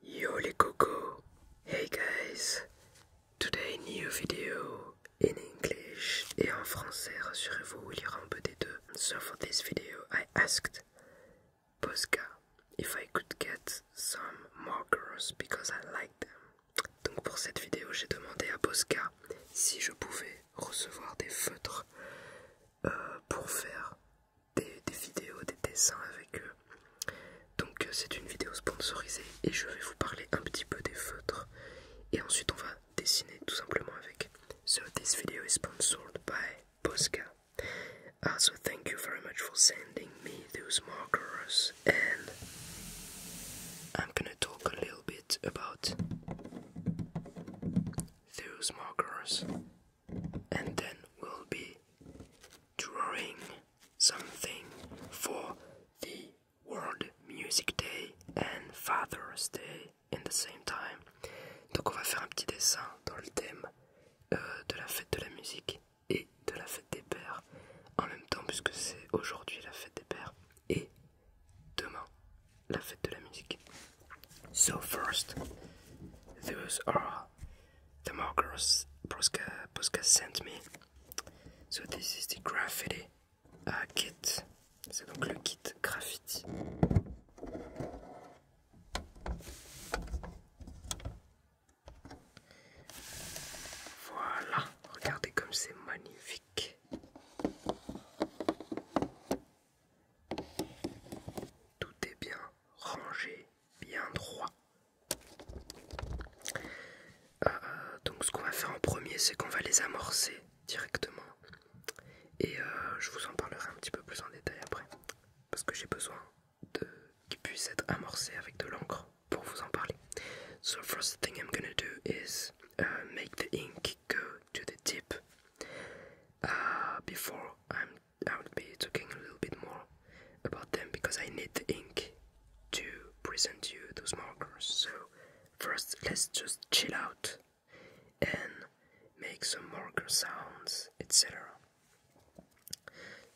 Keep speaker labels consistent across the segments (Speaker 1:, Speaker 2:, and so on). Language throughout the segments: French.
Speaker 1: Yo les cocos! Hey guys! Today new video in English et en français, rassurez-vous, il y un peu des deux. So for this video, I asked Posca if I could get some markers because I like them. Donc pour cette vidéo, j'ai demandé à Posca si je pouvais recevoir des feutres euh, pour faire des, vidéos, des dessins avec eux. Donc euh, c'est une vidéo sponsorisée et je vais vous parler un petit peu des feutres et ensuite on va dessiner tout simplement avec. So this video is sponsored by Posca. Also ah, thank you very much for sending me those markers and I'm gonna talk a little bit about those markers and then we'll be drawing something for the World Music Day and Father's Day in the same time. Donc on va faire un petit dessin dans le thème euh, de la fête de la musique et de la fête des pères en même temps puisque c'est aujourd'hui la fête des pères et demain la fête de la musique. So first, those are the markers Posca, Posca sent me. So this is the graffiti uh, kit. C'est donc le kit graffiti. Voilà, regardez comme c'est magnifique. Tout est bien rangé, bien droit. Euh, donc ce qu'on va faire en premier, c'est qu'on va les amorcer directement. Et euh, je vous en parlerai un petit peu plus en détail après. Parce que j'ai besoin qu'ils puissent être amorcés avec de l'encre pour vous en parler. So first thing I'm gonna do is euh, make the ink go to the tip uh, before I'm I'll be talking a little bit more about them because I need the ink to present you those markers so first let's just chill out and make some marker sounds etc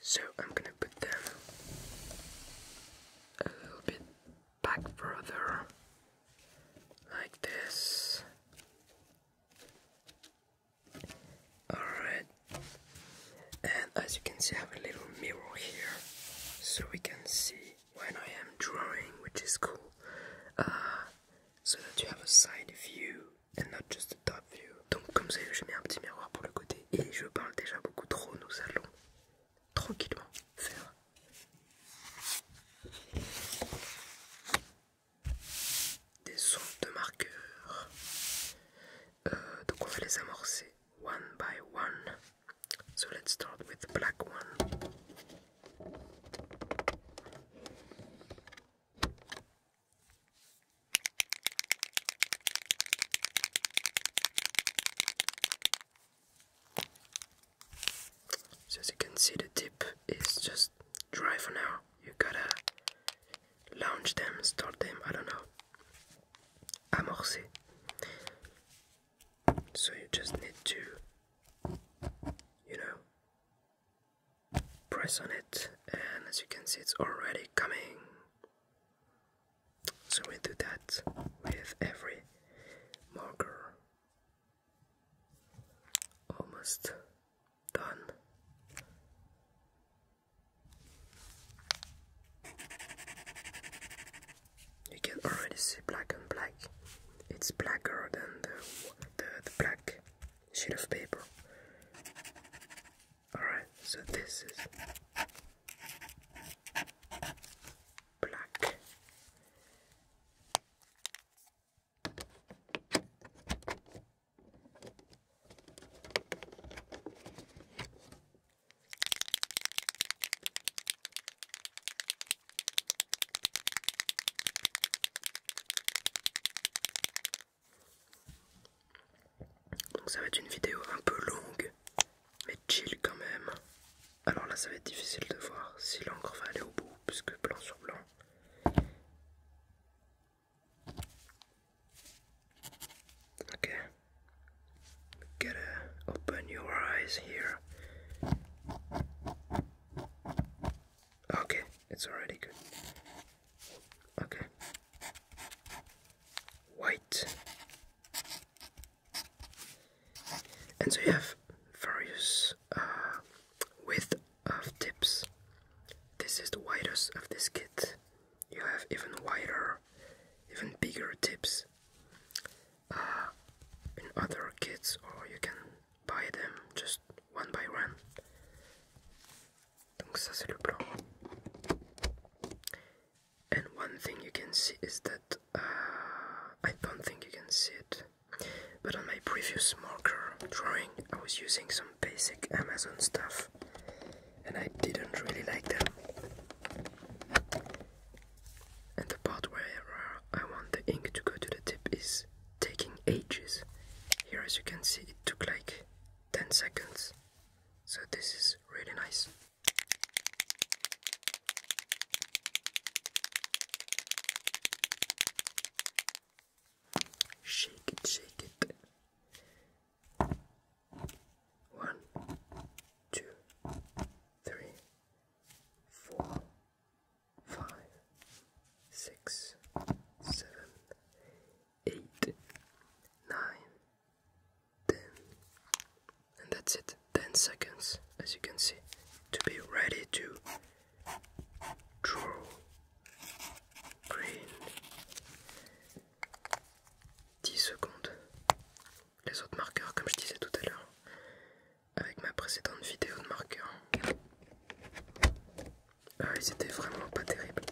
Speaker 1: so I'm gonna put them a little bit back further like this. Alright, and as you can see, I have a little mirror here so we can see when I am drawing, which is cool, uh, so that you have a side view and not just a top view. Donc, comme ça, j'ai mis un petit miroir pour le côté et je parle déjà beaucoup trop, nous allons
Speaker 2: tranquillement faire
Speaker 1: des sons de marqueurs. Euh, donc on va les amorcer one by one. So let's start with the black one. So as you can see, the tip is just dry for now. You gotta launch them, start them, I don't know. Amorcer. So you just need to, you know, press on it, and as you can see, it's already coming. So we do that with every marker almost done. You can already see black and black. It's blacker than the, the, the black sheet of paper. Alright, so this is black. Donc ça va être une vidéo un peu longue, mais chill quand même. Alors là, ça va être difficile de voir si l'encre va aller au bout, puisque blanc sur blanc. Ok. Gotta open your eyes here. Okay, it's already good. Okay. White. And so you have various Uh, width of tips. This is the widest of this kit. You have even wider, even bigger tips uh, in other kits, or you can buy them just one by one. And one thing you can see is that uh, I don't think you can see it. But on my previous marker drawing, I was using some basic Amazon stuff, and I didn't really like them. And the part where uh, I want the ink to go to the tip is taking ages. Here, as you can see, it took like 10 seconds. So, this is really nice. Shake it, shake it. One, two, three, four, five, six, seven, eight, nine, ten. And that's it. 10 seconds, as you can see, to be ready to 10 secondes. Les autres marqueurs, comme je disais tout à l'heure, avec ma précédente vidéo de marqueurs, ah, ils étaient vraiment pas terribles.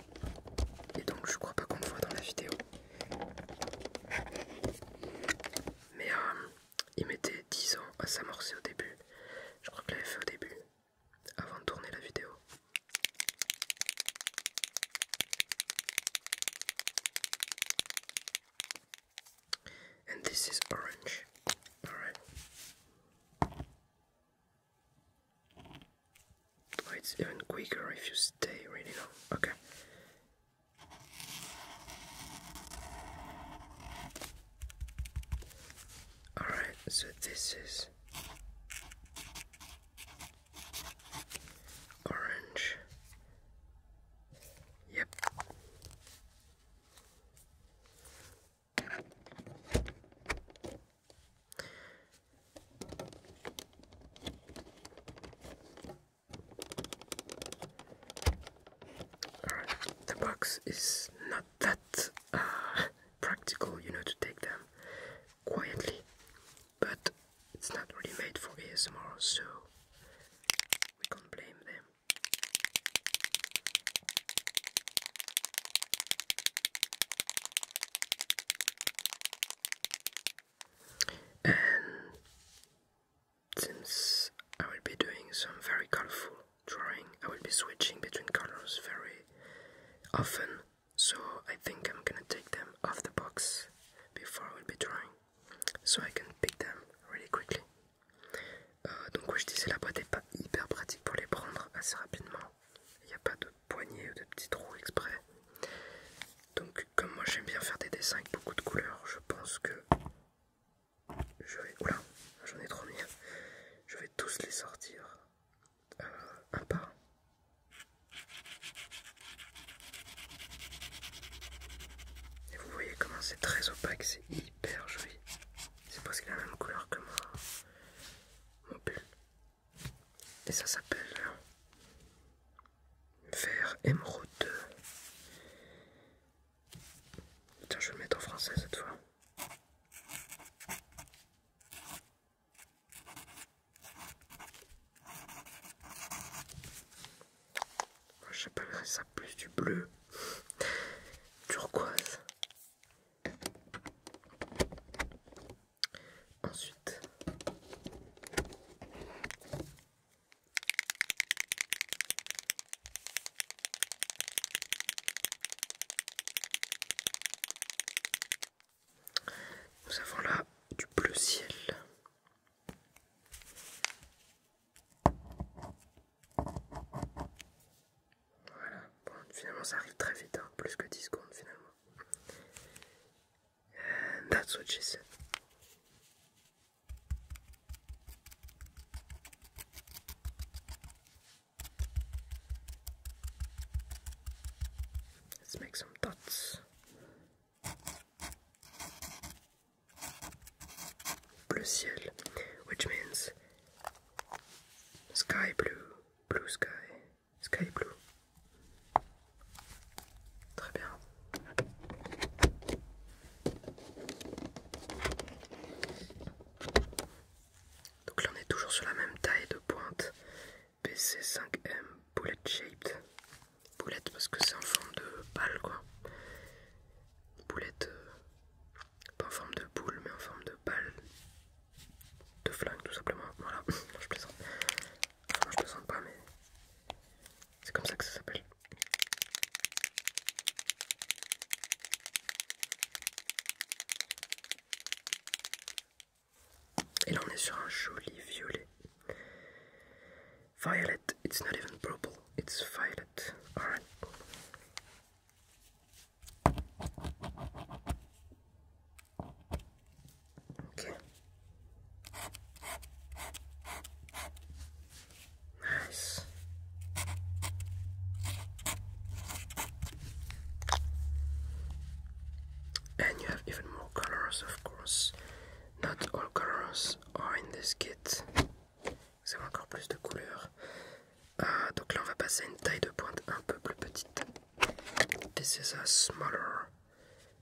Speaker 1: Et donc, je crois pas qu'on le voit dans la vidéo. Mais euh, il mettait 10 ans à s'amorcer au début. Je crois que l'avait fait au début, avant de tourner la vidéo. And this is orange. Alright. Oh, it's even quicker if you stay really long. Okay. Alright, so this is orange. Yep.
Speaker 2: Alright, the box is not that uh,
Speaker 1: practical, you know, to take them quietly. But it's not really made for ASMR, so we can't blame them. And since I will be doing some very colorful drawing, I will be switching between colors very often, so I think I'm gonna take them off the box before I will be drawing, so I can pick them really quickly. Euh, donc comme je disais la boîte n'est pas hyper pratique pour les prendre assez rapidement. Il n'y a pas de poignée ou de petits trous exprès. Donc comme moi j'aime bien faire des dessins avec beaucoup de couleurs, je pense que je vais... Oula, j'en ai trop mis. Je vais tous les sortir euh, un par Et vous voyez comment c'est très opaque, c'est hyper joli. C'est parce presque la même couleur que mon, mon pull. Et ça s'appelle euh, vert émeraude. Tiens, je vais le mettre en français cette fois. J'appellerais ça plus du bleu turquoise. Ensuite, nous avons là du bleu ciel. Voilà, bon, finalement ça arrive très vite, hein. plus que 10 secondes finalement. Let's make some dots. Blue sky, which means sky blue, blue sky, sky blue. Très bien. Donc là on est toujours sur la même taille de pointe PC5M Bullet Shaped. Boulette parce que c'est en forme de balle quoi. Boulette, euh, pas en forme de boule mais en forme de balle. De flingue tout simplement. Voilà, je plaisante. je
Speaker 2: plaisante pas mais c'est comme ça que ça s'appelle.
Speaker 1: Et là on est sur violet. Violet, it's not even purple, it's violet. Alright. Okay. Nice. And you have even more colors, of course. Not all colors are in this kit. Vous avez encore couleurs. Uh, donc là, on va passer une taille de pointe un peu plus petite. This is a smaller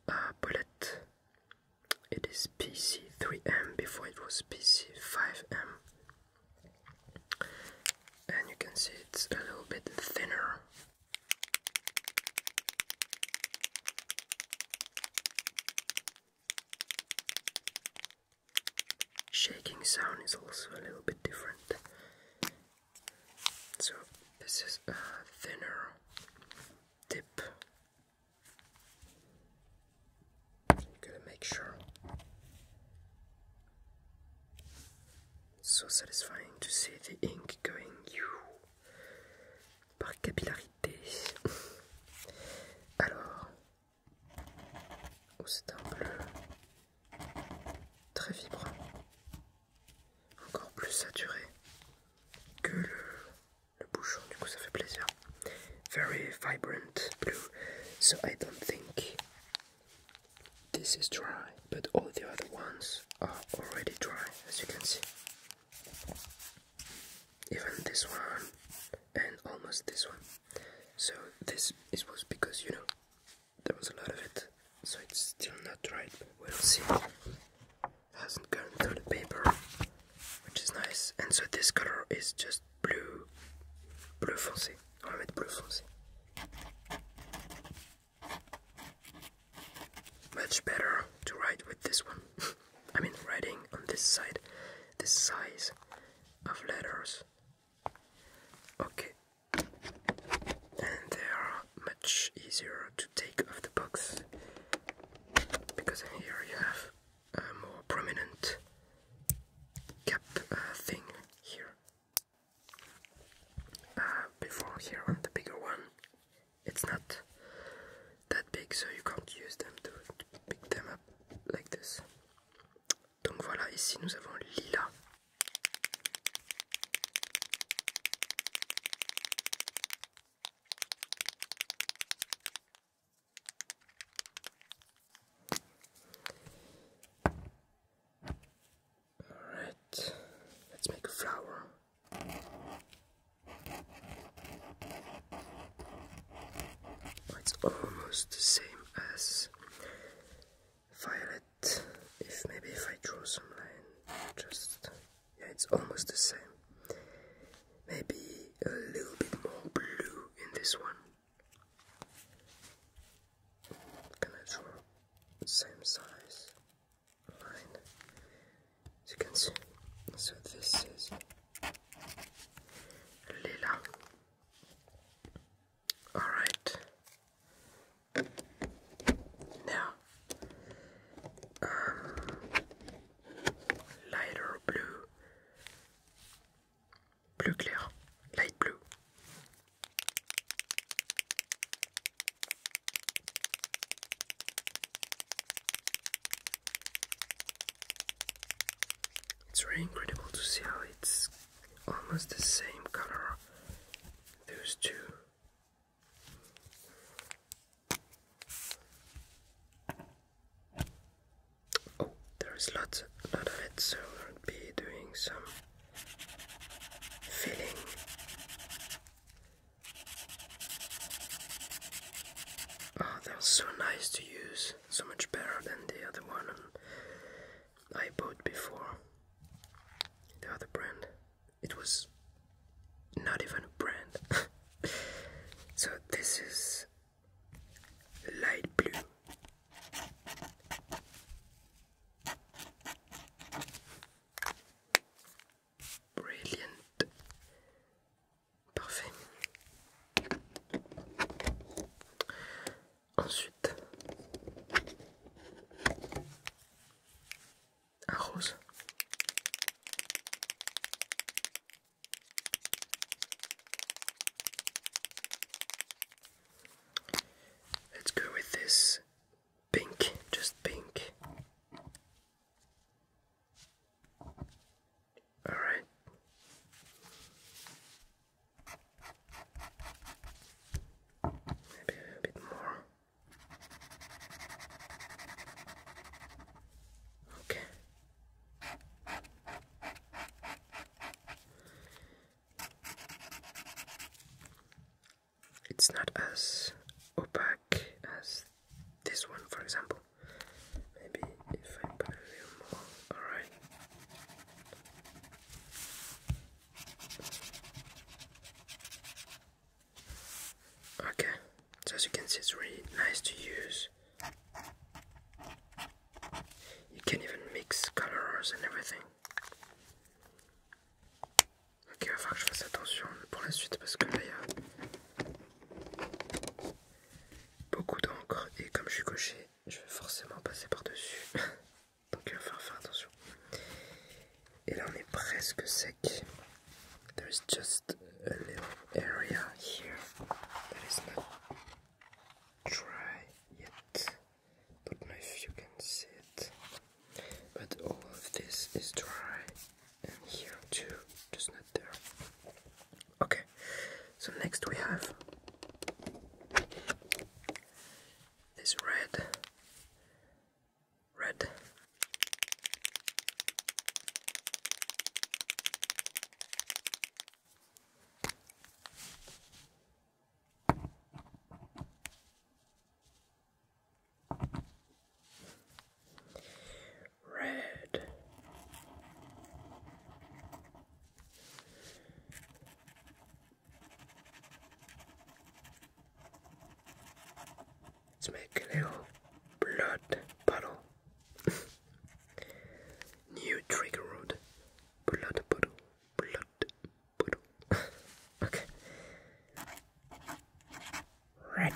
Speaker 1: bullet. Ah, it is PC3M before it was PC5M and you can see it's a little bit thinner. Shaking sound is also a little bit different. So, this is a thinner tip. Gotta make sure. So satisfying to see the ink going par capillarité. Alors, oh, c'est bleu très vibrant, encore plus saturé que le, le bouchon, du coup ça fait plaisir. Very vibrant blue, so I don't think this is dry, but all the other ones are already dry, as you can see. Even this one, and almost this one. So this is was because you know there was a lot of it, so it's still not dry. we'll see. Hasn't gone through the paper, which is nice. And so this color is just Blue, bleu foncé. On va mettre bleu foncé. Much better to write with this one. I mean, writing on this side, the size of letters. Okay, and they are much easier to take off the box because here you have more prominent cap uh, thing here. Uh, before here on the bigger one, it's not that big, so you can't use them to, to pick them up like this. Donc voilà, ici nous avons Lila.
Speaker 2: Alright, let's make a flower. Oh,
Speaker 1: it's almost the same as violet. If maybe if I draw some line, just yeah, it's almost the same. Maybe a little bit more blue in this one. Can I draw same size line? As you can see, so this is
Speaker 2: Lila. Alright. Now, um, lighter blue.
Speaker 1: Blue clear, light blue. It's really incredible to see how it's almost the same color, those two. Oh, there's lots, lot of it, so we will be doing some filling. Oh, ah, they're so nice to use, so much better than the other one I bought before. The other brand. It was not even a brand. so this is light blue. Brilliant. Parfait. Ensuite, un rose. Let's go with this pink, just pink. All right. Maybe a bit more.
Speaker 2: Okay. It's
Speaker 1: not as opaque as this one, for example. Maybe if I put a little more, alright. Okay, so as you can see, it's really nice to use. You can even mix colors and everything. Ok, il va falloir que je fasse attention pour la suite parce que là il y a beaucoup d'encre et comme je suis coché, je vais forcément passer par-dessus. Donc il va falloir faire attention. Et là on est presque sec. There just a area here that is not try yet. Don't know if you can see it. But all of this is dry and here too, just not there. Okay, so next we have this red, red. Red. Let's make a little blood puddle. New trigger road. Blood puddle blood. okay. Right.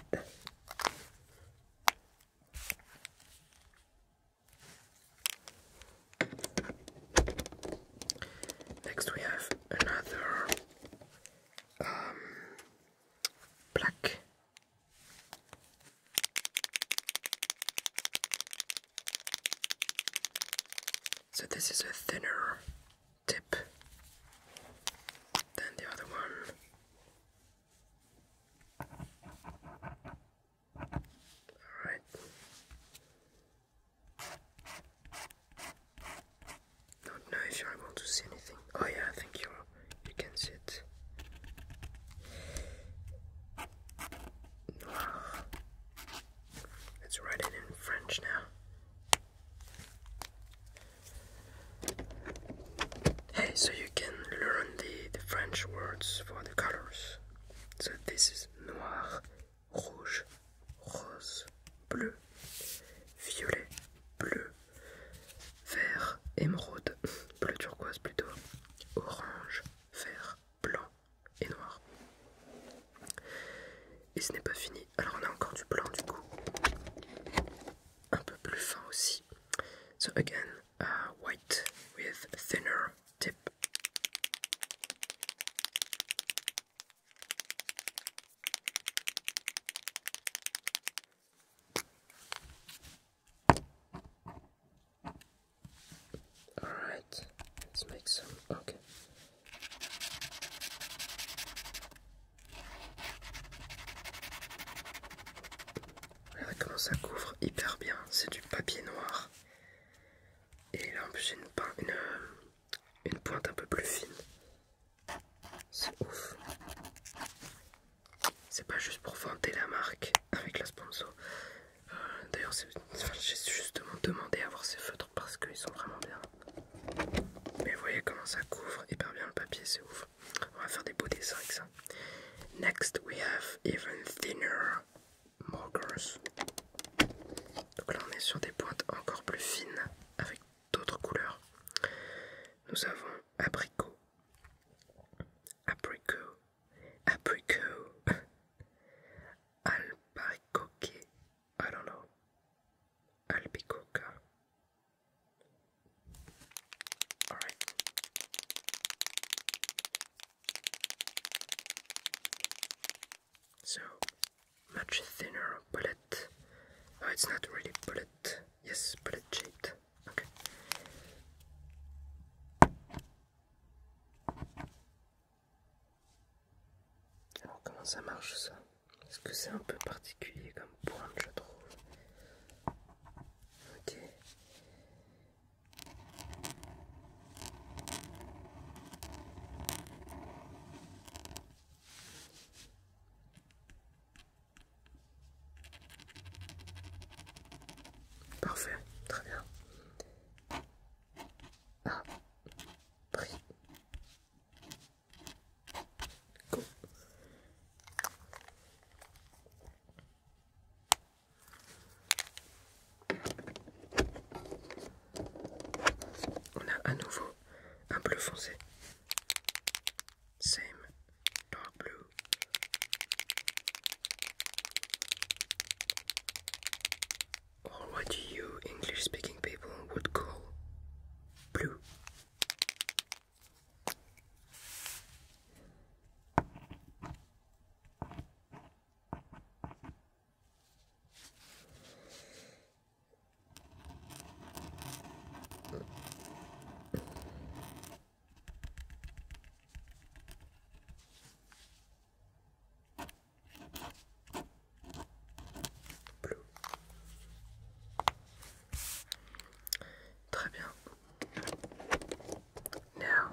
Speaker 1: Next we have another um, black so this is a thinner tip than the other one. All right. Don't know if you're to see anything. Oh yeah, I you you can see it. Let's write it in French now. Hey, so you can learn the, the French words for the colors. So this is noir, rouge, rose, bleu, violet, bleu, vert, émeraude, bleu turquoise plutôt, orange, vert, blanc, et noir. Et ce n'est pas fini. Alors on a encore du blanc du coup. Un peu plus fin aussi. So again, uh, white with thinner tip. Alright, let's make some. Okay. Regarde comment ça couvre hyper bien. C'est du papier noir. Et là en plus euh, une, pointe un peu plus fine. C'est ouf. C'est pas juste pour vanter la marque avec la sponsor, D'ailleurs, j'ai justement demandé à voir ces feutres parce qu'ils sont vraiment bien. Mais vous voyez comment ça couvre hyper bien le papier, c'est ouf. On va faire des beaux dessins avec ça. Next, we have even thinner markers. Donc là, on est sur des pointes encore plus fines avec d'autres couleurs. Nous avons abricot, abricot, apricot, albicoque, I don't know, albicoca. All right. So much thinner bullet. Oh, it's not really bullet. Yes, bullet shaped. Okay. Alors comment ça marche ça Est-ce que c'est un peu particulier comme pointe je trouve.
Speaker 2: Parfait, très bien.
Speaker 1: On a à nouveau un bleu foncé. Same dark blue. or what you English speaking people would call blue. Blue. Très bien. Now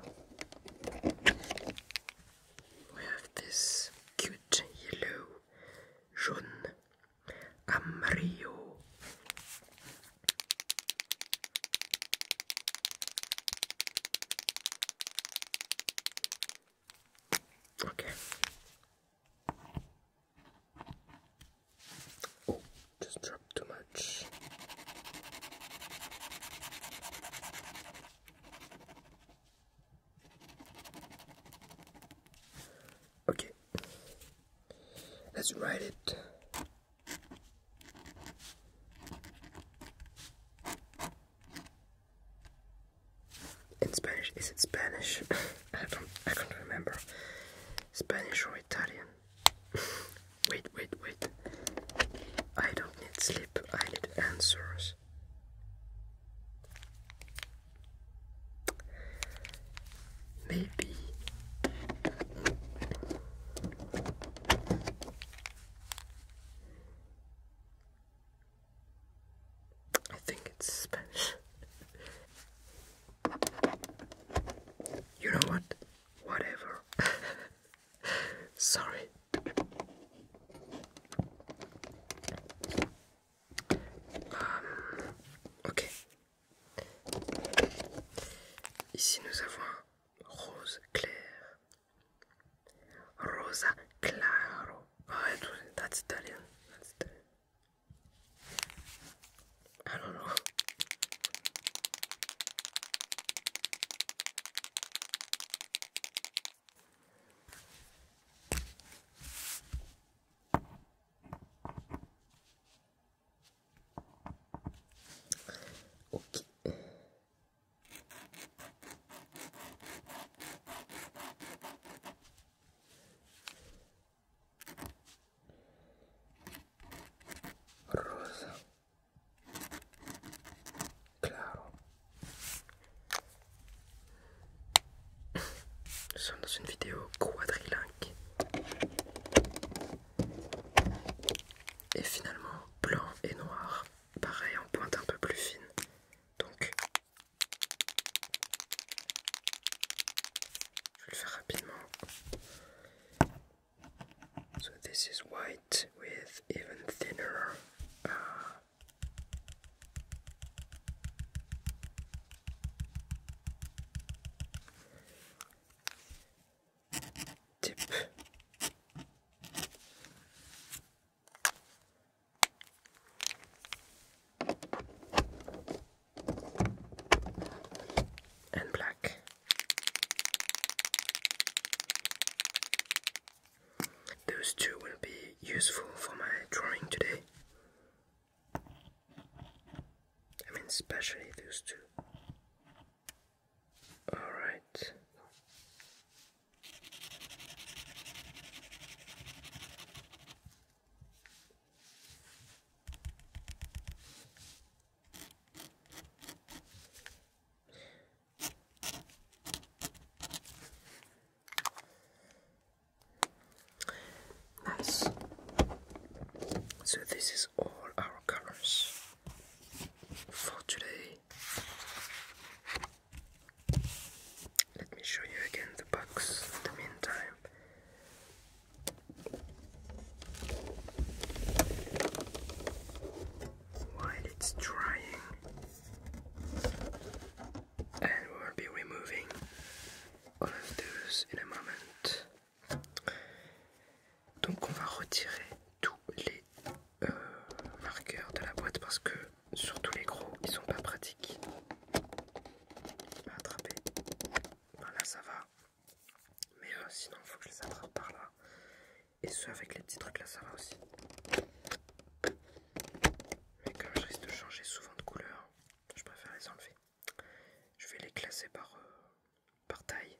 Speaker 1: we have this cute yellow, jaune, Amario. Okay. Oh, just dropped too much. Okay. Let's write it. In Spanish, is it Spanish? I don't, I can't remember. Spanish or Italian? wait, wait, wait. I don't need sleep. I need answers. Maybe.
Speaker 2: I think it's Spanish.
Speaker 1: you know what? Whatever. Sorry. Um, ok. Ici nous avons un rose clair Rosa claro. Oh, That's Italian. I don't know. Okay. rosa claro nous sommes dans une vidéo quadrilingue et finalement blanc et noir pareil en pointe un peu plus fine. Donc, je vais le faire rapidement. So this is white with even thinner. Uh, tip and black. Those two will be useful for my drawing today. I mean, especially those two. All right. Nice. So, this is all our colors for today. Let me show you again the box in the meantime. While it's drying, and we'll be removing all of those in a moment. Donc, on va retirer tous les Euh, marqueur marqueurs de la boîte parce que surtout les gros ils sont pas pratiques à attraper. Ben là ça va. Mais euh, sinon il faut que je les attrape par là. Et ceux avec les petits trucs là ça va aussi. Mais comme je risque de changer souvent de couleur, je préfère les enlever. Je vais les classer par, euh, par taille.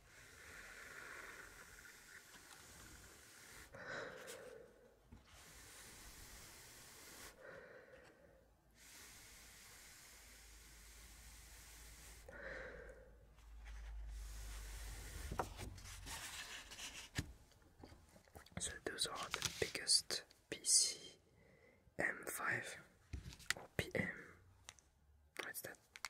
Speaker 1: So those are the biggest PC M5 or PM. What's that?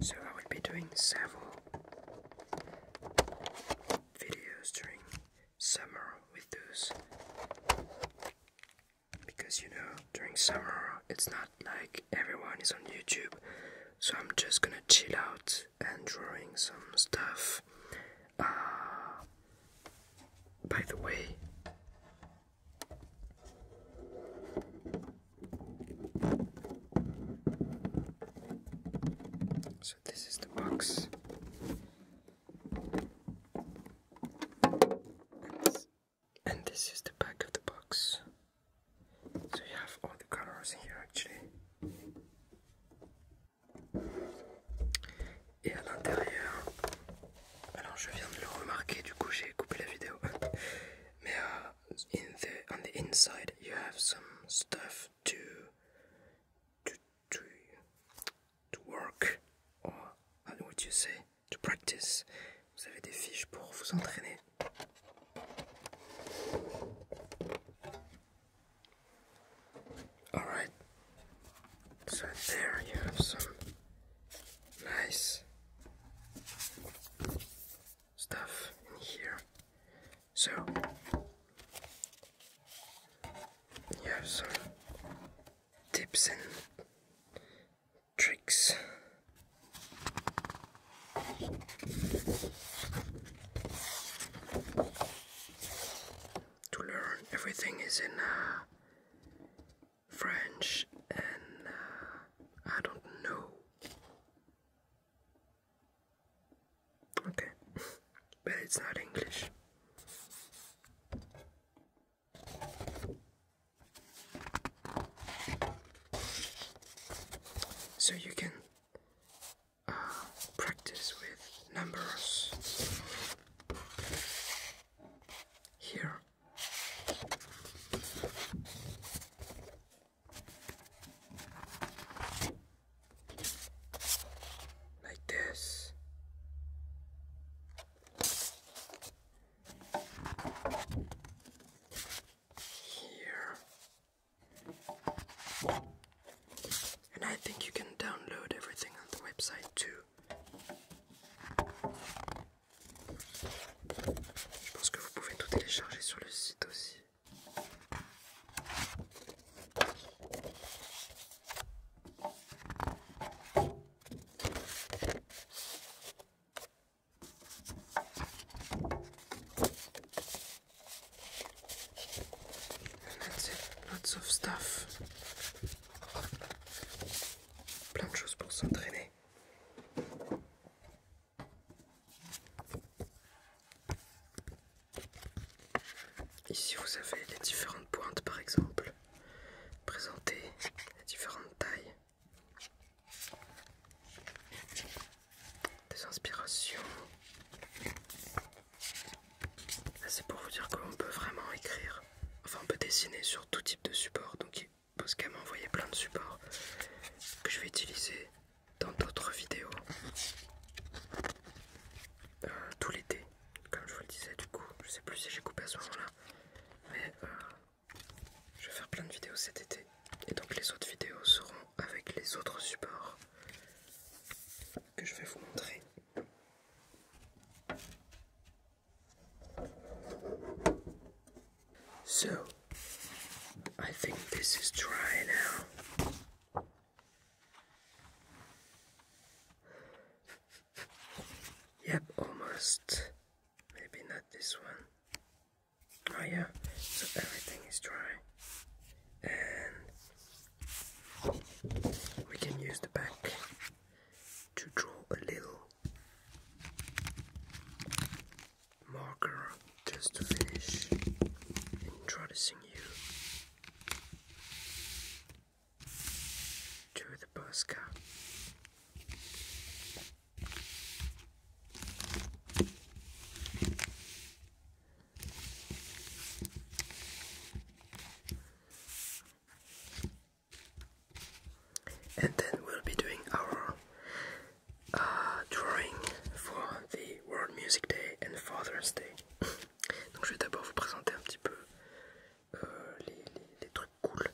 Speaker 1: So I will be doing several videos during summer with those because you know during summer it's not like everyone is on YouTube so I'm just gonna chill out and drawing some stuff uh, by the way,
Speaker 2: so this is the box.
Speaker 1: And this is the back of the box. So you have all the colors here actually. Et à l'intérieur, alors je viens de le remarquer, du coup j'ai coupé la vidéo. Mais uh, the, on the inside, you have some stuff to to to, work or what do you say to practice. Vous avez des fiches pour vous entraîner.
Speaker 2: Alright, so there you have some
Speaker 1: nice stuff in here. So, you have some tips and tricks. To learn everything is in uh, French and uh, I don't know. Okay, but it's not English. So you can uh, practice with numbers here. Like this. Here. And I think you can download everything on the website too. Je pense que vous pouvez tout télécharger sur le site aussi. lots of stuff. Plein de choses pour s'entraîner. Ici, vous avez les différentes pointes, par exemple, présentées, les différentes tailles, des inspirations. c'est pour vous dire on peut vraiment écrire Enfin, on peut dessiner sur tout type de support. Donc, qu'elle m'a envoyé plein de supports que je vais utiliser dans d'autres vidéos euh, tout l'été. Comme je vous le disais, du coup, je sais plus si j'ai coupé à ce moment-là, mais euh, je vais faire plein de vidéos cet été. Et donc, les autres vidéos seront avec les autres supports que je vais vous montrer. So, I think this is dry now. Yep, almost. Maybe not this one. Oh yeah, so everything is dry.
Speaker 2: And
Speaker 1: we can use the back to draw a little marker just to finish introducing you to the Posca. Et then we'll be doing our uh, drawing for the World Music Day and Father's Day. Donc je vais d'abord vous présenter un petit peu euh, les, trucs cool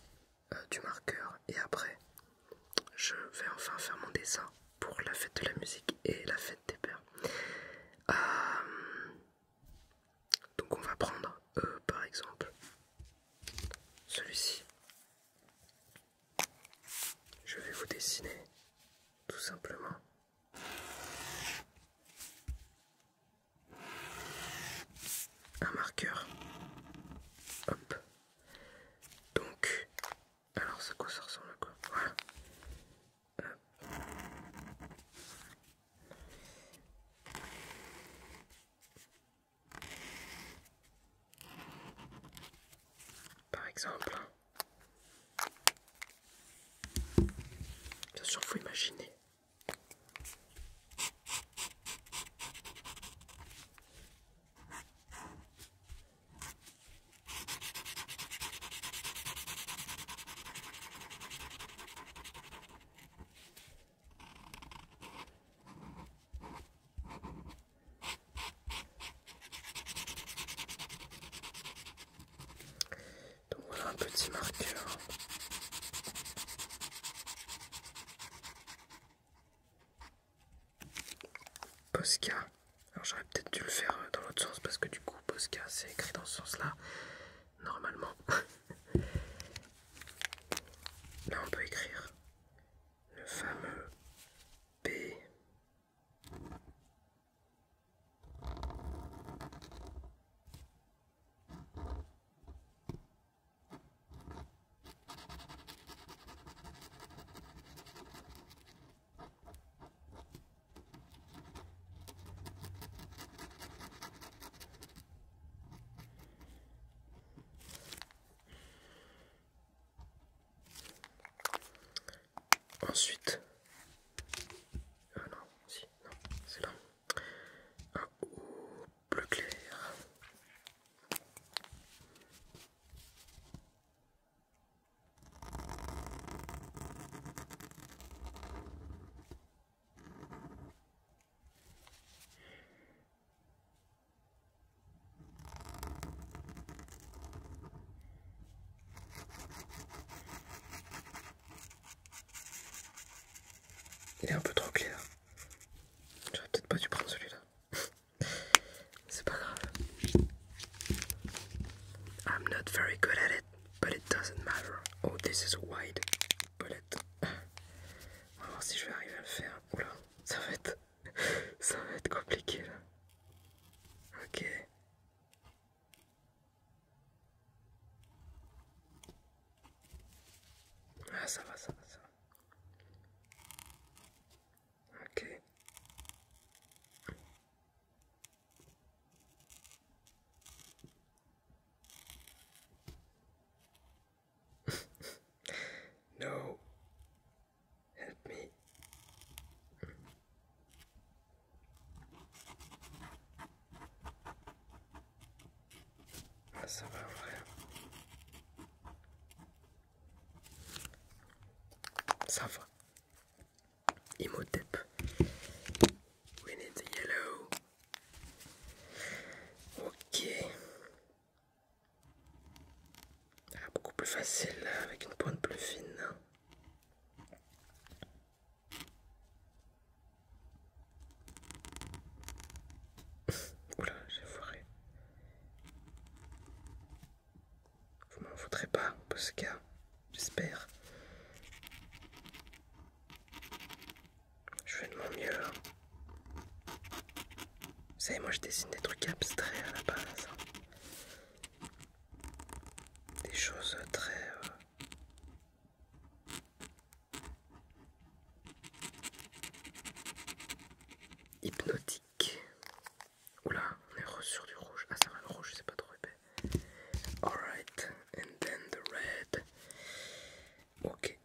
Speaker 1: euh, du marqueur et après je vais enfin faire mon dessin pour la fête de la musique et la fête des pères. Euh, donc on va prendre euh, par exemple celui-ci. Je vais vous dessiner tout simplement
Speaker 2: un marqueur. Hop. Donc, alors c'est quoi ça ressemble à quoi
Speaker 1: par exemple, bien sûr, faut imaginer.
Speaker 2: Donc voilà un petit marqueur.
Speaker 1: Posca. Alors j'aurais peut-être dû le faire euh, dans l'autre sens parce que du coup Posca c'est écrit dans ce sens-là normalement. Là, on peut écrire le fameux B.
Speaker 2: Ensuite, ah non, si, non, c'est là, un haut bleu clair. Il est un peu trop
Speaker 1: clair. J'aurais peut-être pas dû prendre celui-là. C'est pas grave. I'm not very good at it, but it doesn't matter. Oh, this is wide palette. On si je vais arriver à le faire.
Speaker 2: ça va être, ça va être compliqué là. Ok. Ah ça va, ça ça Ok. no. Help me. Ah, ça va,
Speaker 1: Ça va. Imhotep. We need the yellow. Ok. beaucoup plus facile euh,
Speaker 2: avec une pointe plus fine. Oula, j'ai foiré.
Speaker 1: Vous m'en foutrez pas, Posca, j'espère. Je fais de mon mieux. Vous savez, moi je dessine des trucs abstraits à la base. Des choses très... Euh, hypnotiques. Oula, on est re sur du rouge. Ah ça va, le rouge c'est pas trop épais. Alright, and then the red. Ok.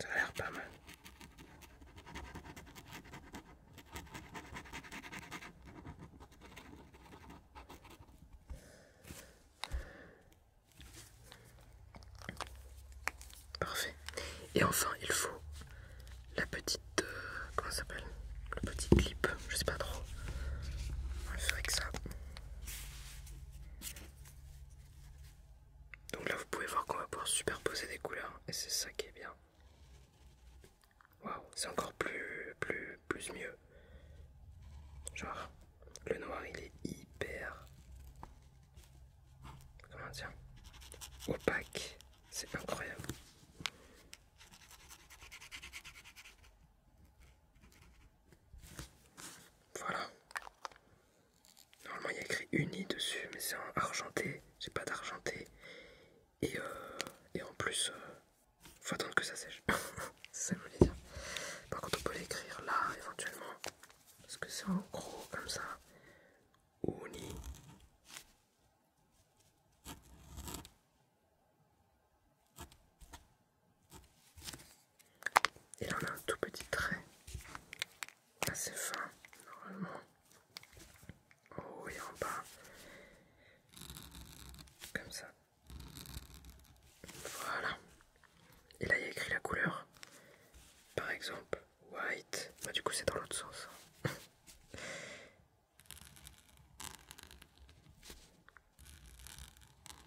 Speaker 2: Ça a l'air pas mal. Parfait.
Speaker 1: Et enfin, il faut la petite. Euh, comment ça s'appelle Le petit clip, je sais pas trop. On va que ça. Donc là vous pouvez voir qu'on va pouvoir superposer des couleurs et c'est ça qui est bien. Waouh, c'est encore plus plus plus mieux. Genre le noir il est hyper comment opaque, c'est incroyable. Voilà. Normalement, il y a écrit uni dessus, mais c'est en argenté. J'ai pas d'argenté. Et, euh, en plus, euh, faut attendre que ça sèche. ça Par contre, on peut l'écrire là, éventuellement. Parce que c'est
Speaker 2: en gros, comme ça. Uni. Il en a un tout petit trait assez fin normalement oh, il et en bas
Speaker 1: comme ça voilà et là il a écrit la couleur par exemple white bah, du coup c'est dans l'autre sens hein.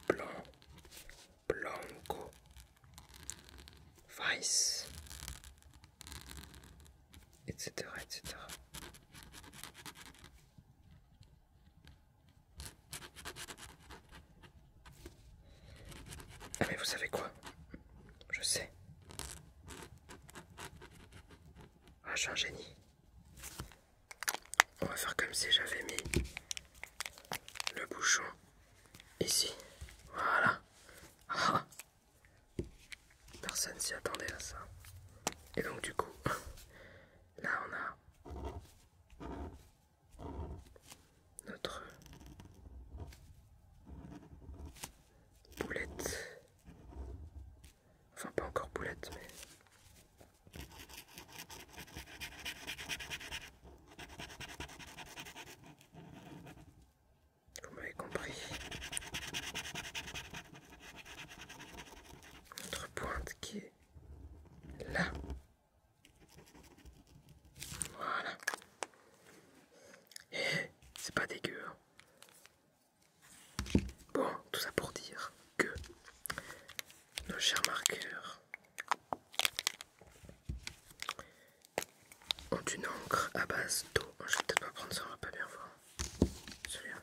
Speaker 2: blanc, blanco,
Speaker 1: vice, etc., etc. Ah, mais vous savez quoi Je sais. Ah, je suis un génie. On va faire comme si j'avais mis le bouchon ici. Voilà. Ah. Personne s'y attendait à ça. Et donc du coup, là
Speaker 2: on a notre
Speaker 1: boulette. Enfin pas encore boulette mais
Speaker 2: vous m'avez compris. Notre pointe qui est là. Voilà.
Speaker 1: Et eh, c'est pas dégueu. Hein. Bon, tout ça pour dire que nos chers marqueurs ont une encre à base d'eau. Oh, je vais peut-être pas prendre ça, on va pas bien voir. Celui-là.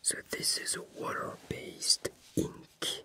Speaker 1: So this is a water-based ink.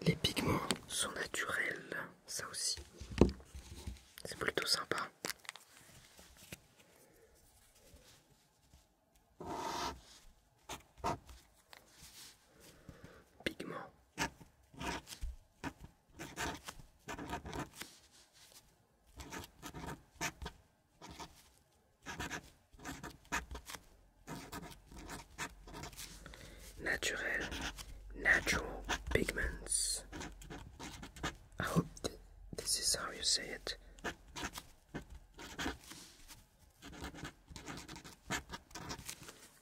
Speaker 1: Les pigments sont naturels, ça aussi.
Speaker 2: C'est plutôt sympa. Pigments.
Speaker 1: Naturel, natural pigments. I hope this is how you say it.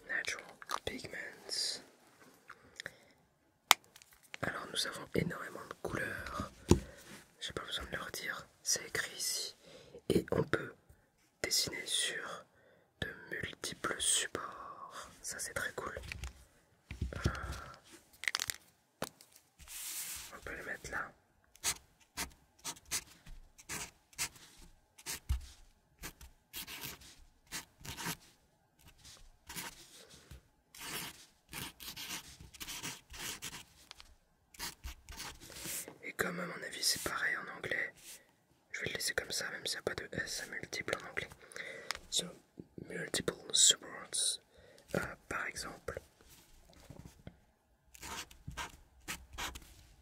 Speaker 1: Natural pigments. Alors nous avons énormément de couleurs. J'ai pas besoin de leur dire, c'est écrit ici. Et on peut dessiné sur de multiples supports. Ça c'est très cool. Euh,
Speaker 2: on peut le mettre là.
Speaker 1: Et comme à mon avis c'est pareil en anglais, je vais le laisser comme ça, même s'il n'y a pas de S à multiple en anglais. So, multiple supports. Euh, par exemple,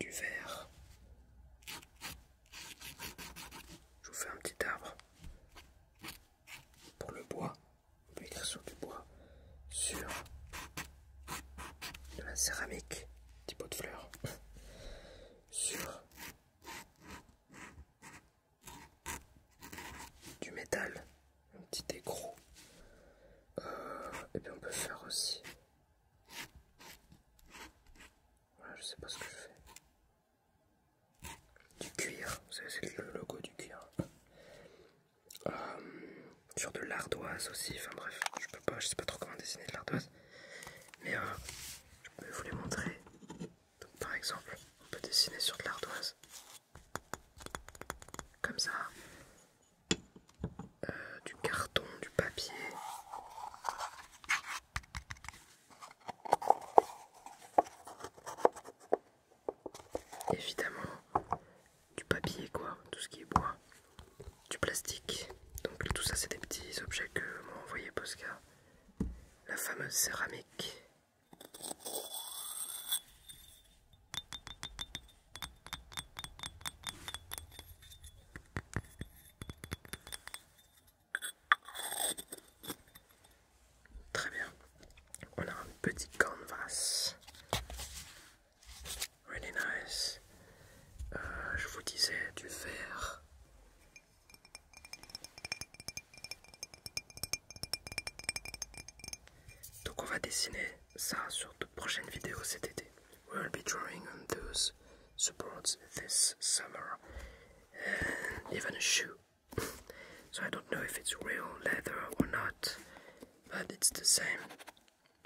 Speaker 1: du verre. Je vous fais un petit arbre pour le bois. On peut écrire sur du bois, sur de la céramique, petit pot de fleurs, sur du métal, un petit écrou. Euh, et bien on peut faire aussi. Voilà, je sais pas ce que je fais. Du cuir, vous savez, c'est le logo du cuir. Euh, sur de l'ardoise aussi. Enfin bref, je peux pas, je sais pas trop comment dessiner de l'ardoise, mais euh, je peux vous les montrer. par exemple, on peut dessiner sur de l'ardoise
Speaker 2: comme ça, euh, du carton, du papier.
Speaker 1: Évidemment, du papier, quoi, tout ce qui est bois, du plastique. Donc tout ça, c'est des petits objets que m'a envoyé Posca. La fameuse céramique. Très bien, on a un petit canvas Really nice. Euh, je vous disais du vert. Donc on va dessiner ça sur de prochaines vidéos cet été. We'll be drawing on those supports this summer. even a shoe. so I don't know if it's real leather or not, but it's the same.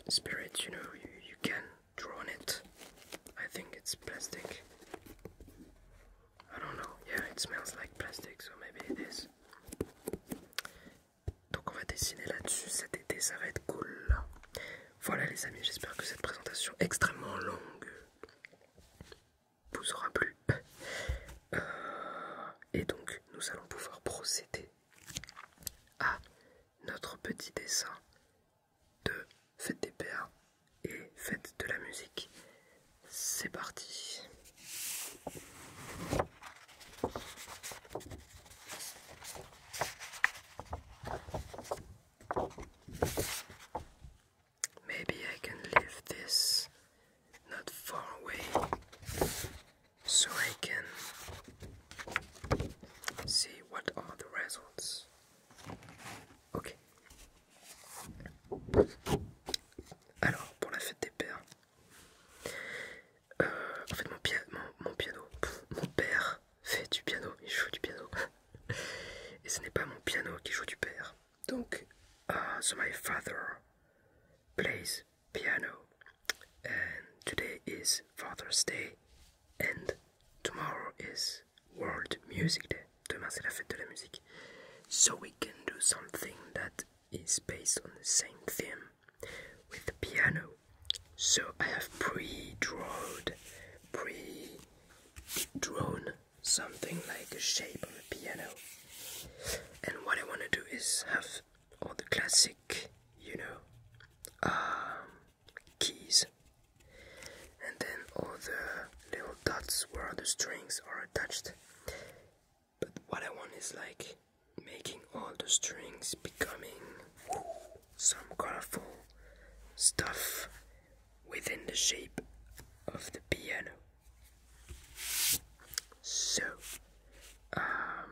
Speaker 1: spirit, you know, you, you can draw on it. I think it's plastic. I don't know. Yeah, it smells like plastic, so maybe it is. Donc on va dessiner là-dessus cet été, ça va être cool. Voilà les amis, j'espère que cette présentation extrêmement longue vous aura plu. Euh, et donc nous allons pouvoir procéder à notre petit dessin de fête des pères et fête de la musique. C'est parti Maybe I can this not far away so I can see what are the results. Ok. Alors, pour la fête des pères, euh, en fait, mon, mon, piano, mon père fait du piano, il joue du piano, et ce n'est pas mon piano qui joue du père. Donc, euh, so my father plays piano. and today is Father's Day and tomorrow is World Music Day. Demain c'est la fête de la musique. So we can do something that is based on the same theme with the piano. So I have pre-drawn, pre-drawn something like a shape of a piano. And what I want to do is have all the classic, you know, um, keys, and then all the little dots where the strings are attached. But what I want is like making all the strings becoming some colorful stuff within the shape of the piano. So, um,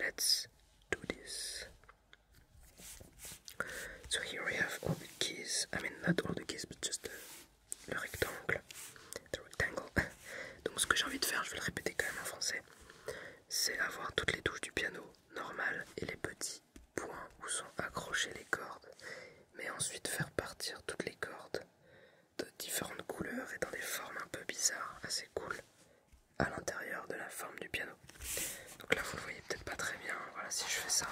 Speaker 1: let's do this. So here we have all the keys, I mean not all the keys, but le rectangle. Donc ce que j'ai envie de faire, je vais le répéter quand même en français, c'est avoir toutes les touches du piano normales et les petits points où sont accrochées les cordes, mais ensuite faire partir toutes les cordes de différentes couleurs et dans des formes un peu bizarres, assez cool, à l'intérieur de la forme du piano. Donc là vous le voyez peut-être pas très bien. Voilà si je fais ça.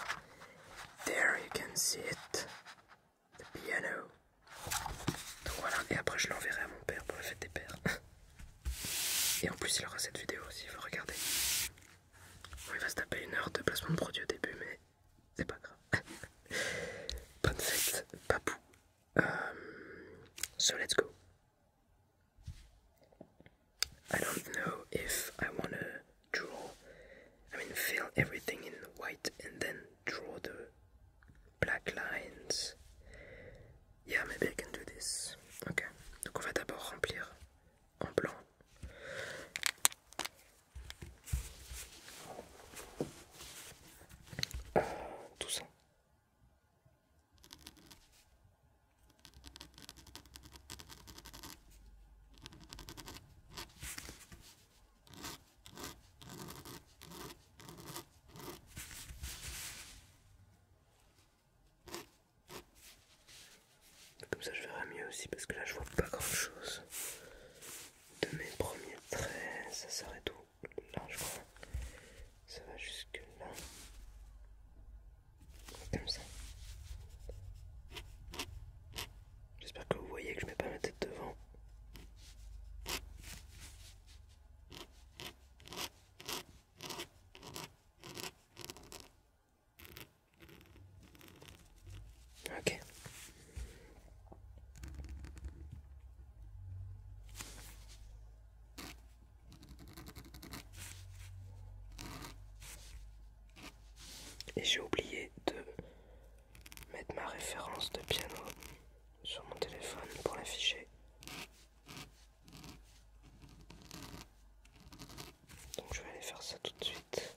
Speaker 1: There you can see it. The piano. Donc voilà, et après je l'enverrai à mon père pour la fête des pères. Et en plus il aura cette vidéo aussi, il regardez. regarder. il va se taper une heure de placement de produit au début, mais c'est pas grave. Bonne fête, papou. Euh, so let's go. I don't know if I want to draw, I mean, fill everything in white and then draw the black lines. Yeah, maybe I can do this. Ok, donc on va d'abord remplir en blanc. tout ça. Comme ça je verrai mieux aussi parce que là je vois pas grand chose de mes premiers traits, ça serait tout là je crois ça va jusque là comme ça j'espère que vous voyez que je mets pas ma tête devant ok et j'ai oublié de mettre ma référence de piano sur mon téléphone pour l'afficher. Donc je vais aller faire ça tout de suite.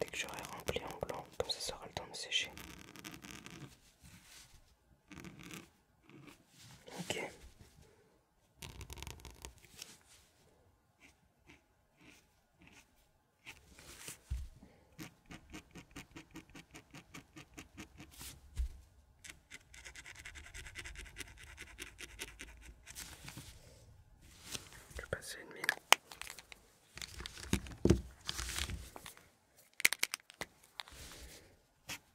Speaker 1: Dès que j'aurai rempli en blanc, comme ça, sera le temps de sécher. Ok. Je
Speaker 2: vais passer une mine.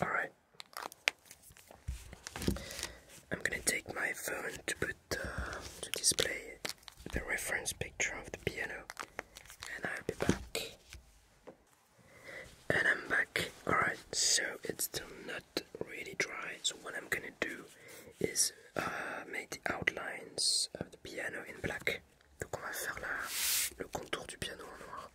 Speaker 1: Alright. I'm gonna take my phone to put uh, to display the reference picture of the piano and I'll be back. And I'm back. Alright, so it's still not really dry, so what I'm gonna do is uh, make the outlines of the piano in black. Donc on va faire la, le contour du piano en noir.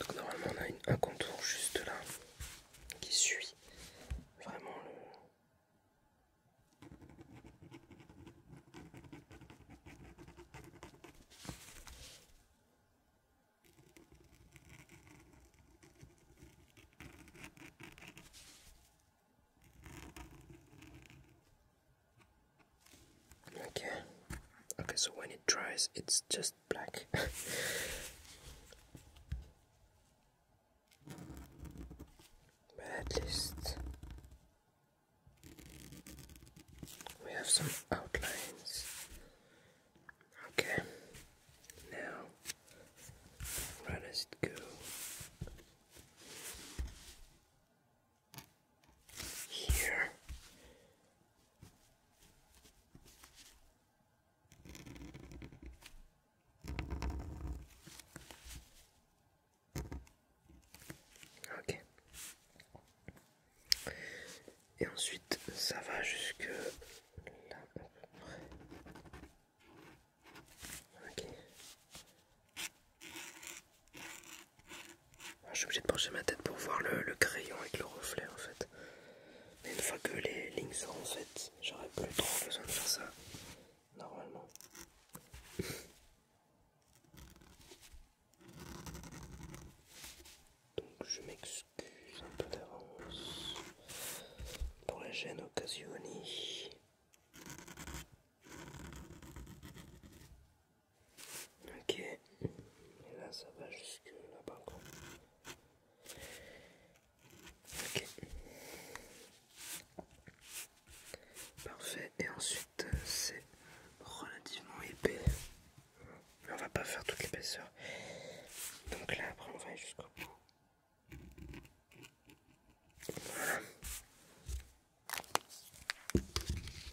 Speaker 1: Donc normalement on a un contour juste là qui suit vraiment le... Okay. Okay, so when it dries, it's just black. but at least we have some outlines. Okay. Now, where does go? Here. Okay. et ensuite ça va jusque là à peu près. Ok. Ah, je suis obligé de pencher ma tête pour voir le, le crayon avec le reflet en fait. Mais une fois que les lignes seront faites, j'aurai plus trop besoin de faire ça normalement. Donc je m'excuse un peu d'avance pour la gêne occasionnée. Ok, et là ça va jusque là-bas Ok, parfait, et ensuite euh, c'est relativement épais mais on va pas faire toute l'épaisseur. Donc là, après, on va aller jusqu'au bout. Voilà.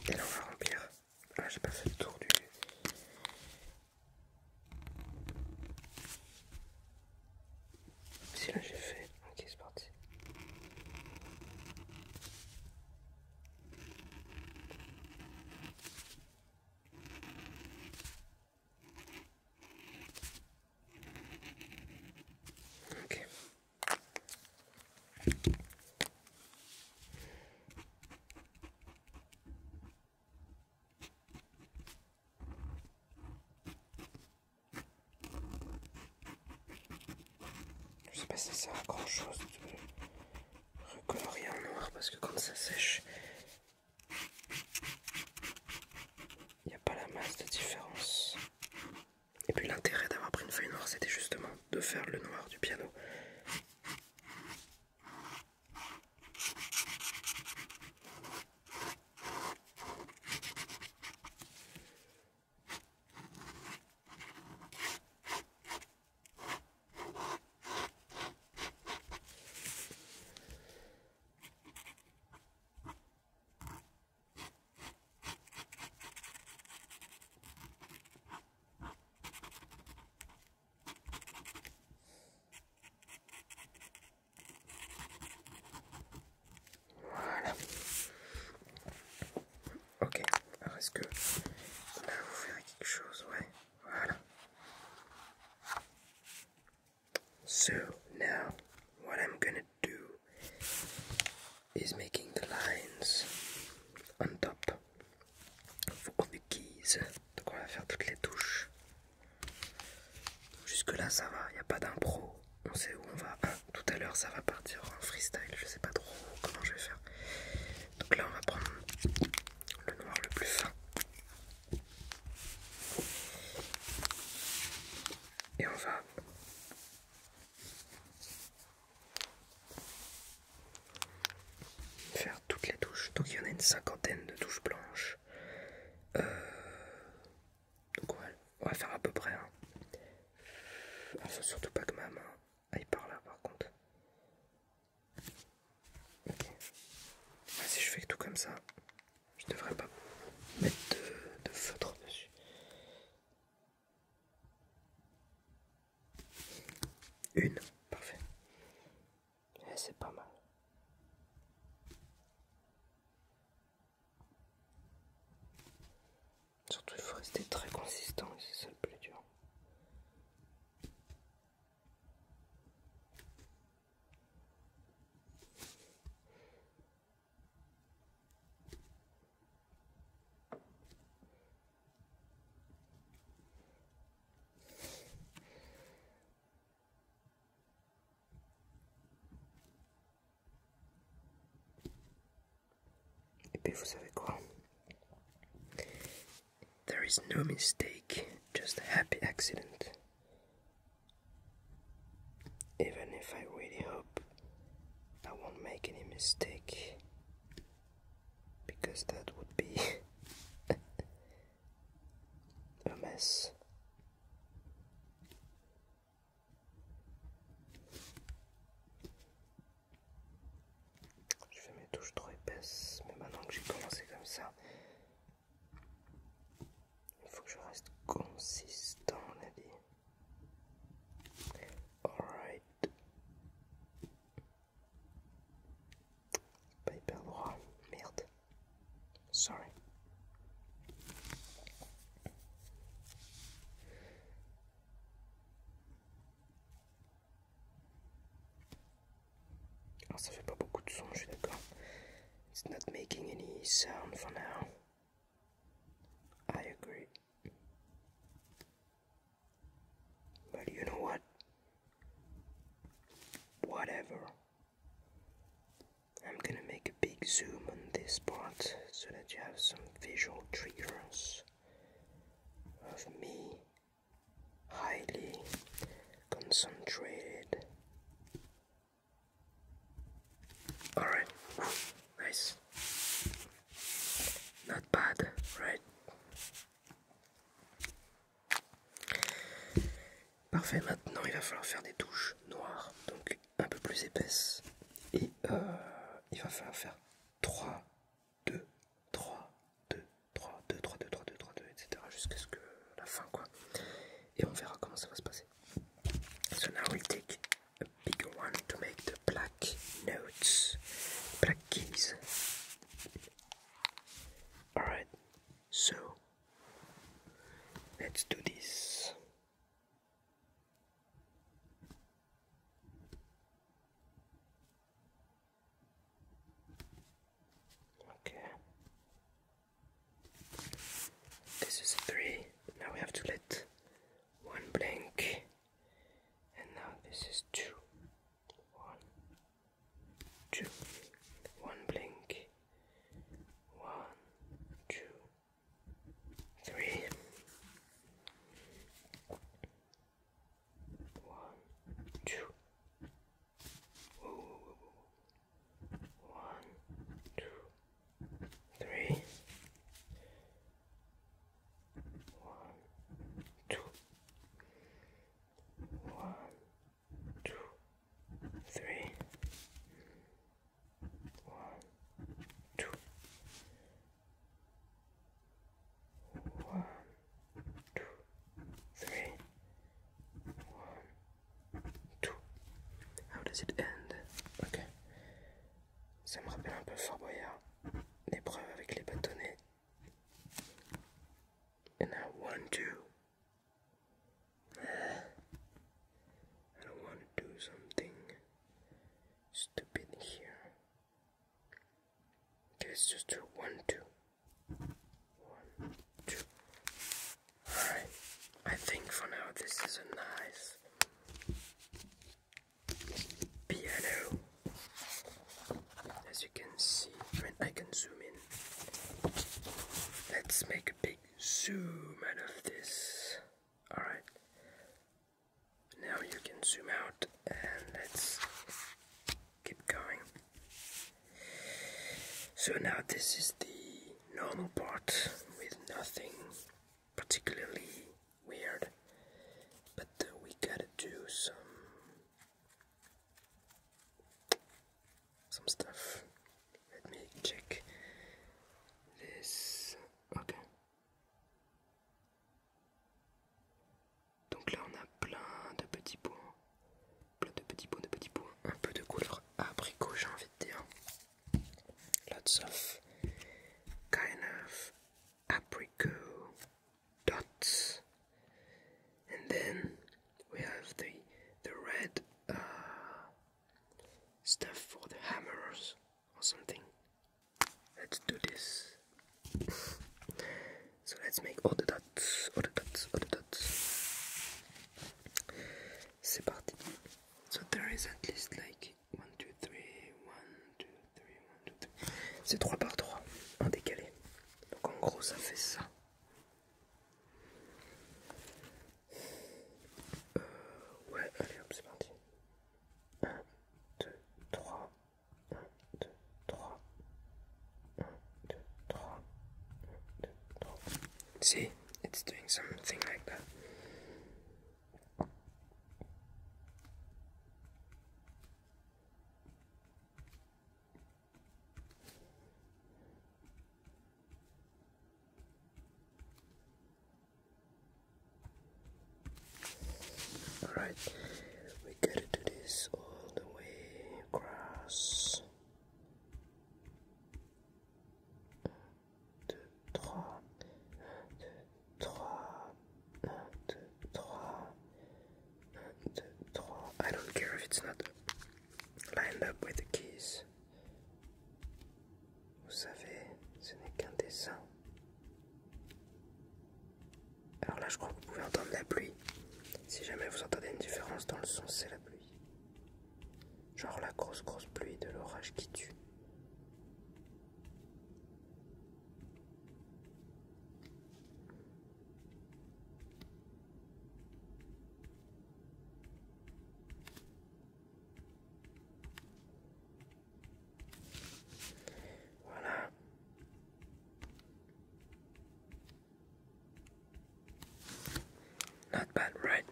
Speaker 1: Et là, on va remplir. Ah, j'ai pas fait le tour du. Si là, j'ai fait. Ok, c'est parti. Ok. Je sais pas si ça sert à grand chose de recolorer en noir parce que quand ça sèche, il n'y a pas la masse de différence. Et puis l'intérêt d'avoir pris une feuille noire, c'était justement de faire le noir du piano. Voilà. Ok, est-ce que vous faire quelque chose, ouais. Voilà. So now what I'm gonna do is making the lines on top of the keys. Donc on va faire toutes les touches. Jusque là ça va, il n'y a pas d'impro. On sait où on va. Ah, tout à l'heure ça va partir en freestyle. Je sais pas trop comment je vais faire. Donc là on va prendre le noir le plus fin.
Speaker 2: Et on va faire
Speaker 1: toutes les touches. Donc il y en a une cinquantaine de touches blanches. Euh, donc on va faire à peu près. Hein. surtout pas que ma main aille par là par contre. Si je fais tout comme ça, je devrais pas mettre de, feutre dessus.
Speaker 2: Une, parfait. Eh, c'est pas mal.
Speaker 1: Surtout il faut rester très consistant, c'est ça le plus dur. Et puis vous savez quoi There is no mistake, just a happy accident. Even if I really hope I won't make any mistake, because that would be a mess. Je fais mes touches trop épaisses, mais maintenant que j'ai commencé comme ça, Il faut que je reste consistant, on a dit. Alright. Pas hyper droit, merde. Sorry. Ah, it's not making any sound for now. I agree. But you know what? Whatever. I'm gonna make a big zoom on this part so that you have some visual triggers of me highly concentrated. Alright, nice. Not bad, right? Parfait, maintenant il va falloir faire des touches noires, donc un peu plus épaisses. Et euh, il va falloir faire 3, 2, 3, 2, 3, 2, 3, 2, 3, 2, 3, 2, etc. jusqu'à ce que la fin, quoi. Et on verra comment ça va se passer. So now we'll take a bigger one to make the black notes, black keys. Alright, so
Speaker 2: let's do this. Okay. This is three. Now we have to let one blink, And now this is two. One. Two. One blink.
Speaker 1: One, two, three. One, two. One, two, three. One, two. One, two three, one, two. How does it end? Ok. Ça me rappelle un peu Fort Boyard. L'épreuve avec les bâtonnets.
Speaker 2: And now one, two. I don't want to do something stupid here. just do one, two. One, two. Alright. I think
Speaker 1: for now this is a nice piano. As you can see, when I can zoom in. Let's make a big zoom out of this. Alright. Now you can zoom out and let's keep going. So now this is the normal part with nothing particularly weird, but uh, we gotta do some some stuff. Let me check this. Ok. Donc là on a plein de petits points. Plein de petits pots, de petits pots. Un peu de couleur abricot, j'ai envie de Lots of kind of apricot dots. And then we have the the red uh, stuff for the hammers or something. Let's do this. So let's make all the dots, all the dots, all the dots. C'est parti. So there is at least like 1, 2, 3, 1, 2, 3, 1, 2, 3. C'est 3 par 3 en décalé. Donc en gros ça fait ça.
Speaker 2: Euh, ouais, allez hop, c'est parti. 1, 2, 3, 1, 2,
Speaker 1: 3, See, it's doing something like that. Alright, we gotta do this all the way across. 2, 3, 2, 3, 1, 2, 3, 1, 2, 3. I don't care if it's not lined up with the keys. Vous savez, ce n'est qu'un dessin. Alors là, je crois que vous pouvez entendre la pluie. Si jamais vous entendez une différence dans le son, c'est la pluie. Genre la grosse grosse pluie de l'orage qui tue. Voilà. Not bad, right?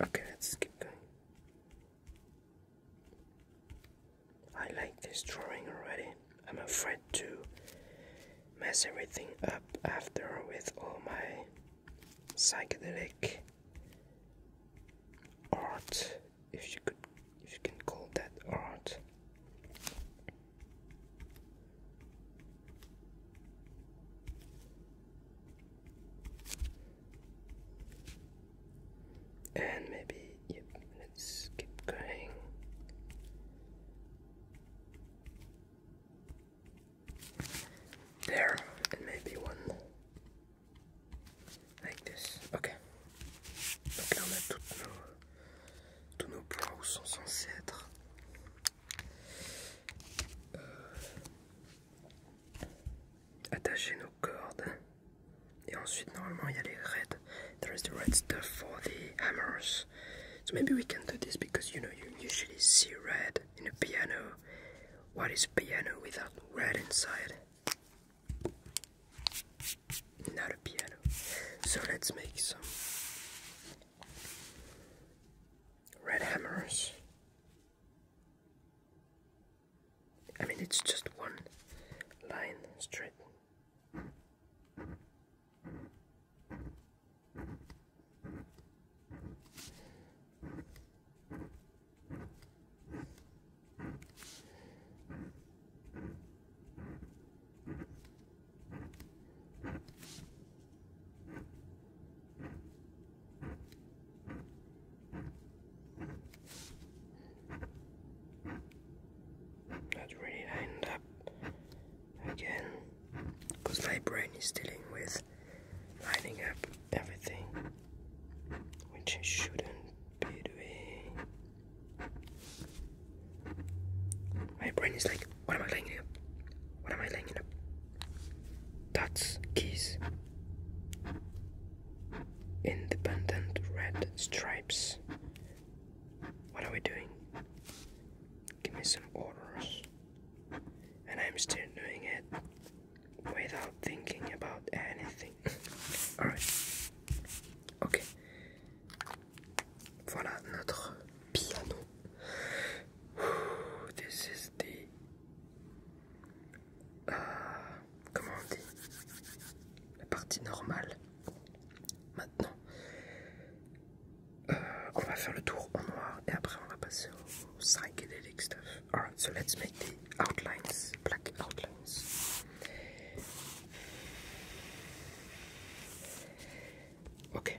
Speaker 1: Okay, let's keep going. I like this drawing already. I'm afraid to mess everything up after with all my psychedelic art if you could if you can call that art And maybe, yep, let's keep going. There, and maybe one like this. Ok. Donc là, on a nos, tous nos pros sont censés être euh, attacher nos cordes et ensuite there is the red stuff for the hammers so maybe we can do this because you know you usually see red in a piano what is a piano without red inside not a piano so let's make some red hammers. I mean, it's just one line straight. Not really lined up again because my brain is dealing with lining up everything which I shouldn't be doing. My brain is like what am I laying up? What am I laying up? Dots, keys. Independent red stripes. What are we doing? Give me some orders. And I'm still doing it without thinking about anything. Alright. Okay. Voilà notre piano. Ouh, this euh, comment on dit La partie normale. Maintenant, euh, on va faire le tour en noir et après on va passer au psychedelic stuff. Alright, so let's make the outlines, black outlines.
Speaker 2: Ok,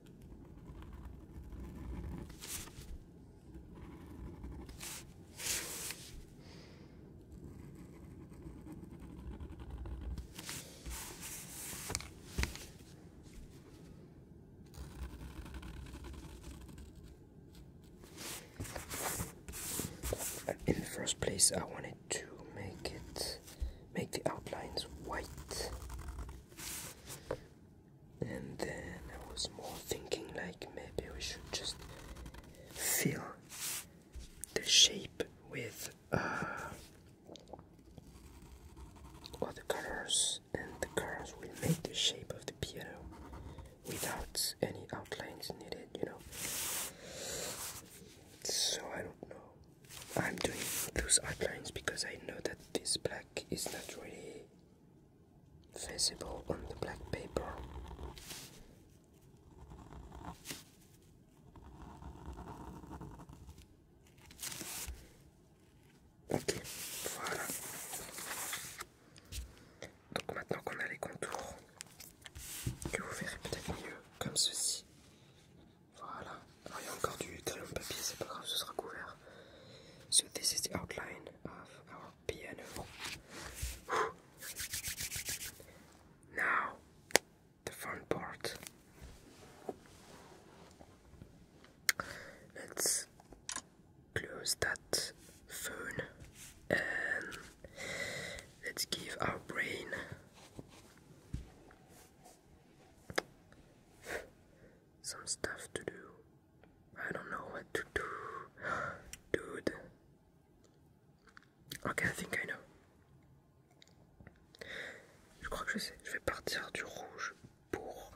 Speaker 1: In the first place, I wanted to make it make the outlines white and then I was more thinking like maybe we should just fill the shape with uh, other colors, and the colors will make the shape of the piano without any outlines needed, you know. So I don't know. I'm doing those outlines because I know that this black is not really visible on the black paper. Ok, voilà. Donc maintenant qu'on a les contours, que vous verrez peut-être mieux, comme ceci. Voilà. il y a encore du talon de papier, c'est pas grave, ce sera couvert. So this is the outline of our piano. Now the fun part. Let's close that phone and let's give our brain some stuff to do. I don't know what to do. Dude. Ok, I think I know. Je crois que je sais. Je vais partir du rouge pour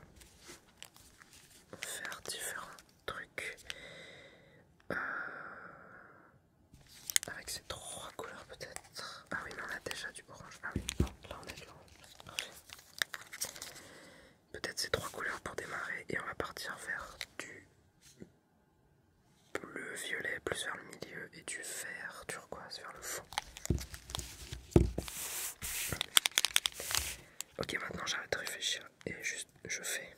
Speaker 1: faire différents trucs euh, avec ces trois couleurs peut-être. Ah oui, mais on a déjà du orange. Ah oui, là on a du orange peut-être ces trois couleurs pour démarrer et on va partir vers du bleu violet plus vers le milieu et du vert turquoise vers le fond. Ok maintenant j'arrête de réfléchir et juste je fais.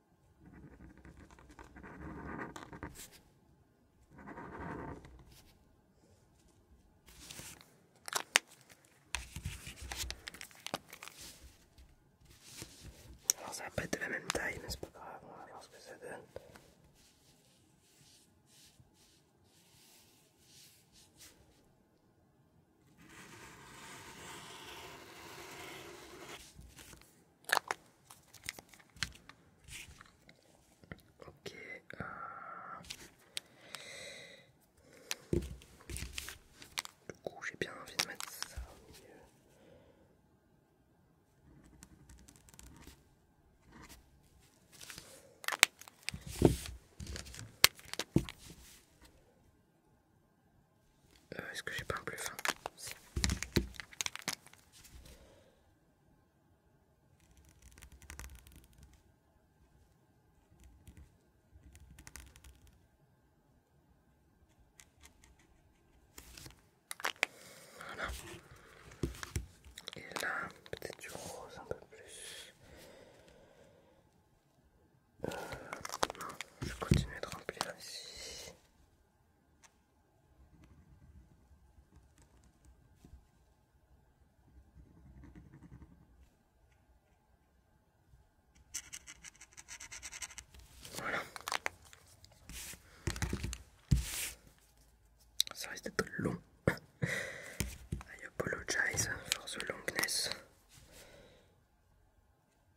Speaker 2: Alors ça va pas être de la même taille mais c'est pas grave, on va voir ce que ça donne. Ok. Euh. Du coup, j'ai bien envie de mettre ça au milieu.
Speaker 1: Euh, est-ce que j'ai pas un plus fin hein Voilà. Et là, peut-être du rose un peu plus. Euh, non, je continue de remplir ici. Voilà. Ça un peu long. I apologize for the longness.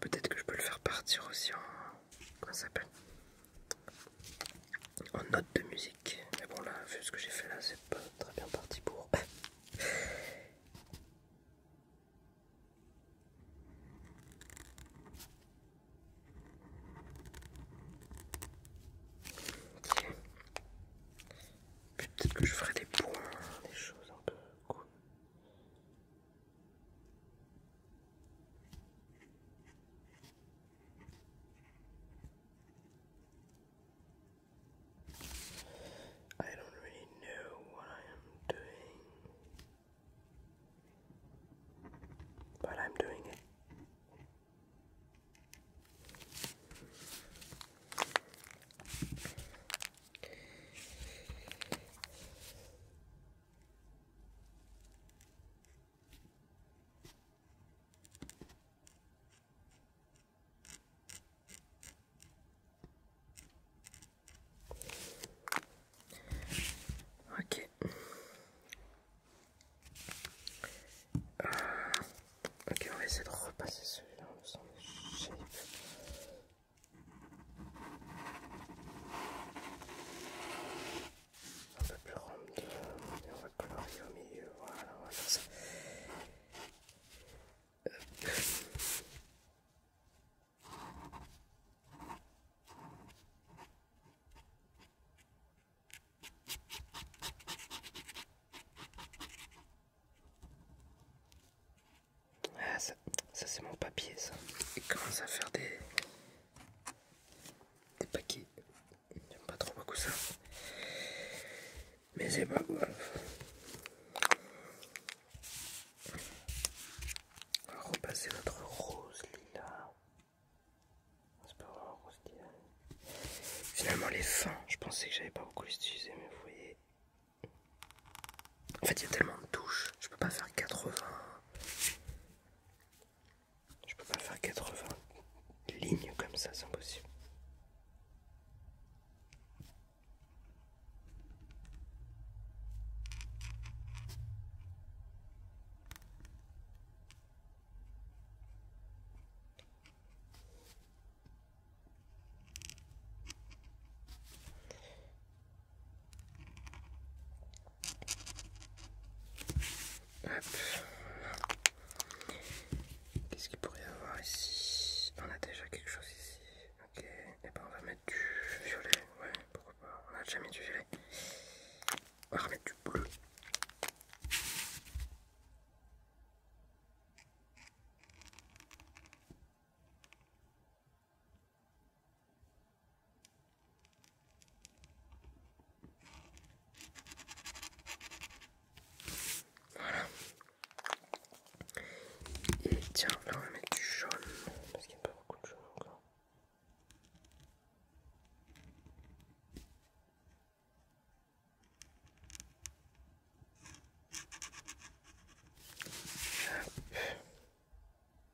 Speaker 1: Peut-être que je peux le faire partir aussi en. s'appelle en note de musique. Mais bon là, vu ce que j'ai fait là, c'est pas très bien parti pour. Peut-être que je ferai des points, des choses un peu cool. I don't really know what I am doing, but I'm doing it.
Speaker 2: Ok. Euh, ok, on va essayer de repasser celui-là, un peu plus rond, on va colorier au milieu. Voilà, on ça. Ah,
Speaker 1: ça c'est mon papier, ça. Il commence à faire des, des paquets. J'aime pas trop beaucoup ça. Mais c'est pas grave. On va repasser notre rose lila. C'est pas rose lila. Finalement les fins, je pensais que j'avais pas beaucoup utilisé, mais vous voyez. En fait il y a tellement de touches, je peux pas faire 80 je peux pas faire 80 lignes comme ça, c'est impossible. Qu'est-ce qu'il pourrait y avoir ici On a déjà quelque chose ici. Ok, et eh ben on va mettre du violet. Ouais, pourquoi pas. On a déjà mis du violet. On va remettre du bleu. Voilà. Et tiens, là on va mettre du jaune, parce qu'il n'y a pas beaucoup de jaune encore.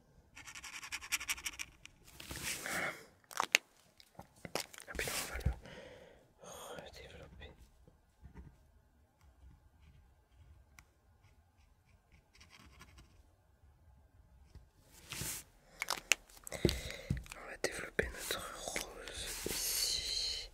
Speaker 2: Et ah, puis on va le redévelopper. On va développer notre rose ici.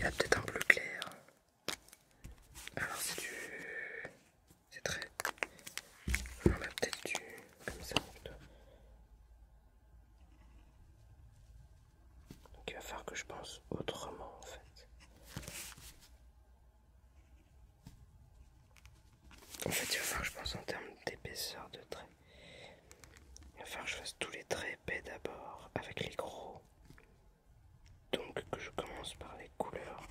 Speaker 2: Il y a peut-être un bleu clair. Alors c'est du... C'est très... On a peut-être du... Comme ça plutôt. Donc il va falloir que je pense autrement en fait. En fait, il va falloir que je pense en termes d'épaisseur de trait. Il va falloir que je fasse tous les traits épais d'abord avec les gros.
Speaker 1: Donc que je commence par les couleurs.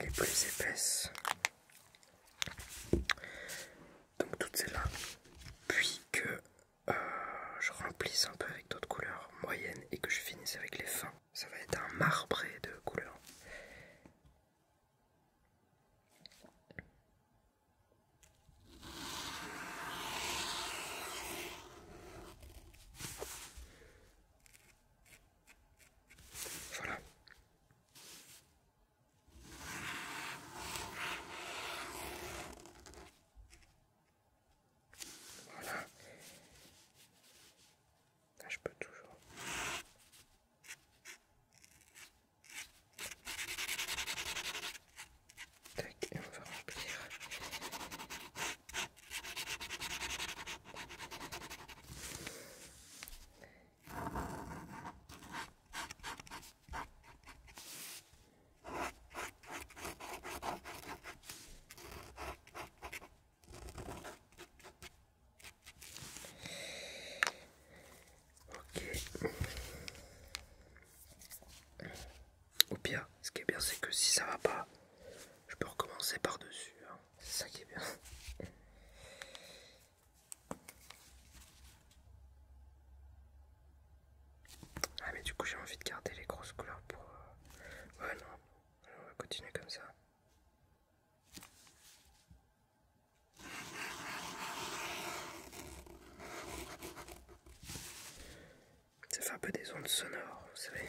Speaker 1: Les plus épaisses. Donc toutes celles-là. Puis que je remplisse un peu avec d'autres couleurs moyennes et que je finisse avec les fins. Ça va être un marbré de couleurs. Voilà. Voilà. Là, je peux toujours. Tac, et on va remplir. Ok. Au pire, ce qui est bien, c'est que si ça va pas, je peux recommencer par-dessus. Hein. ça qui est bien. Ah mais du coup j'ai envie de garder les grosses couleurs pour... Euh, ouais non, on va continuer comme ça. Ça fait un peu des ondes sonores,
Speaker 2: vous savez.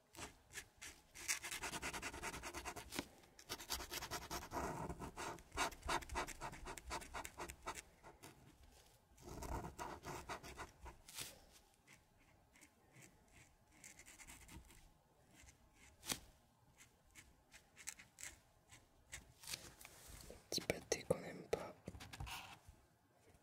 Speaker 2: Petit pâté qu'on n'aime pas.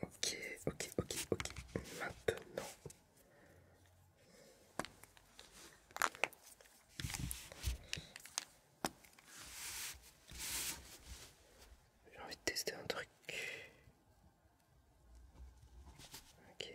Speaker 1: Ok, ok, ok, ok. Maintenant, j'ai envie de tester un truc. Ok.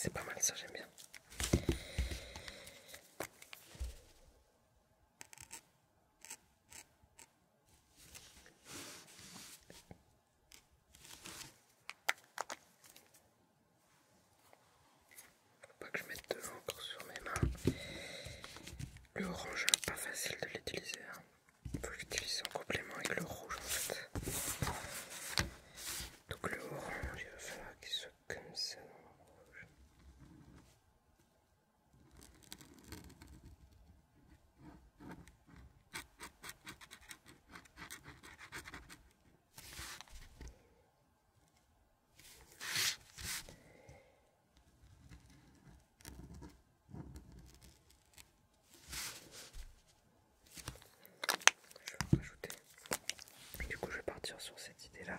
Speaker 2: c'est pas mal ça, j'aime bien.
Speaker 1: Faut pas que je mette de l'encre sur mes mains. Le orange, hein, pas facile de l'utiliser. Il hein. Faut que en complément avec le rouge en fait. Donc le orange, il va falloir qu'il soit comme
Speaker 2: ça je vais rajouter. Du coup, je vais partir sur cette idée-là.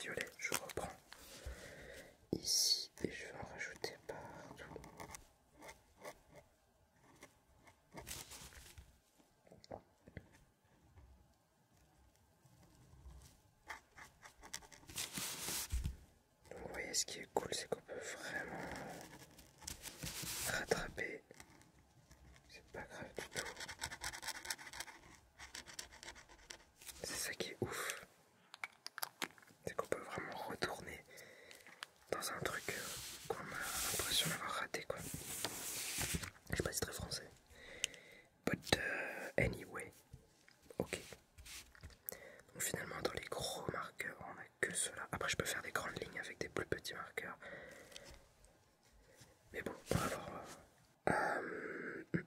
Speaker 2: Violet, je reprends
Speaker 1: ici et je vais en rajouter partout. vous voyez ce qui est cool c'est qu'on peut vraiment rattraper c'est... pas grave du tout. C'est ça qui est ouf. C'est qu'on peut vraiment retourner dans un truc qu'on a l'impression d'avoir raté quoi. Je sais pas si c'est très français. But euh, anyway. Ok. Donc finalement dans les gros marqueurs on a que cela. Après je peux faire des grandes lignes avec des plus petits marqueurs. Mais bon, euh,
Speaker 2: euh,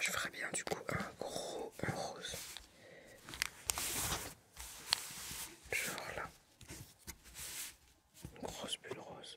Speaker 2: je ferais bien du coup un gros rose.
Speaker 1: Genre là. grosse bulle rose.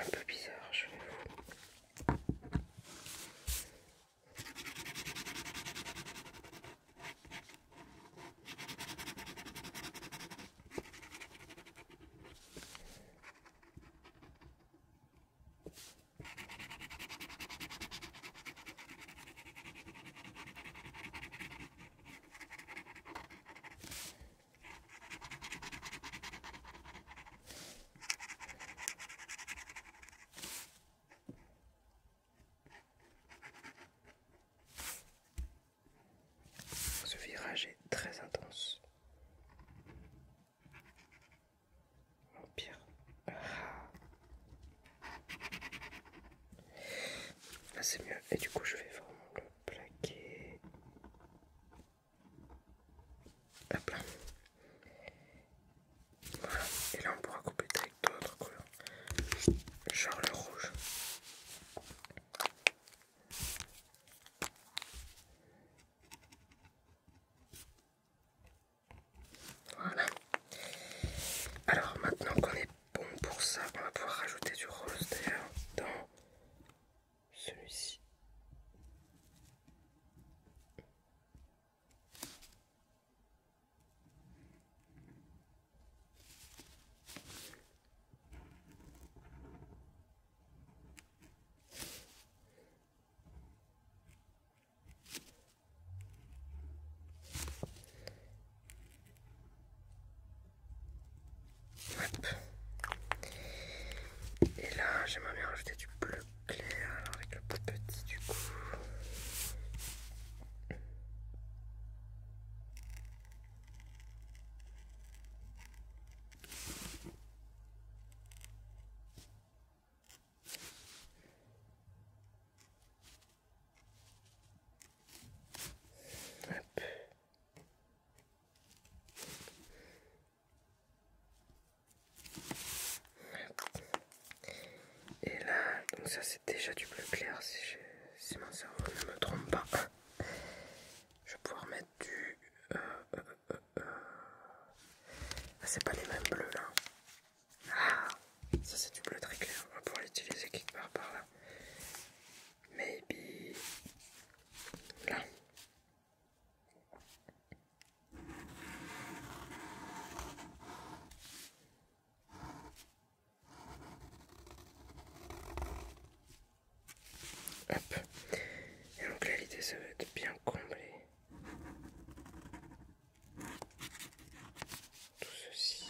Speaker 2: Un peu bizarre, je vous.
Speaker 1: Ce virage est très intense pire Là ah, c'est mieux. Et du coup je vais vraiment le plaquer. Et là on pourra couper avec d'autres couleurs. Genre le rouge. Voilà. Alors maintenant qu'on est bon pour ça, on va pouvoir rajouter du rose dans celui-ci. Et là, j'aimerais bien rajouter du bleu clair avec le plus petit du coup. Et là, donc ça c'est déjà du bleu clair si, si mon cerveau ne me trompe pas. Je vais pouvoir mettre du... Euh, euh, ah, c'est pas les mêmes bleus là. Ah, ça c'est du bleu très clair. On va pouvoir l'utiliser quelque
Speaker 2: part par là. Maybe là.
Speaker 1: Hop. Et donc l'idée ça va être bien comblé tout ceci.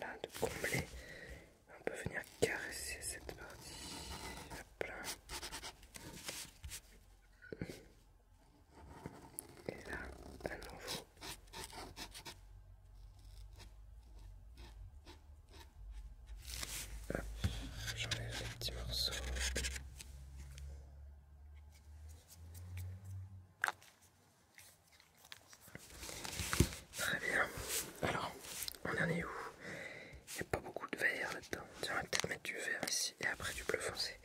Speaker 2: Là, de combler, on peut venir caresser cette partie, et là, à nouveau.
Speaker 1: j'enlève les petits morceaux.
Speaker 2: Très bien. Alors, on en est où
Speaker 1: Il n'y a pas beaucoup de vert là-dedans. on va peut-être mettre du vert ici et après du bleu foncé.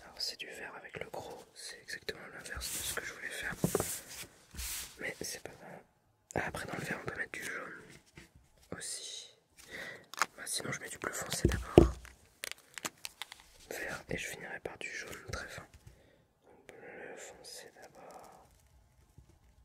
Speaker 1: Alors c'est du vert avec le gros, c'est exactement l'inverse de ce que je voulais faire. Mais c'est pas mal. Ah, après dans le vert on peut mettre du jaune aussi. Bah, sinon je mets du bleu foncé d'abord. Vert et je finirai par du jaune très fin. Donc, bleu foncé
Speaker 2: d'abord.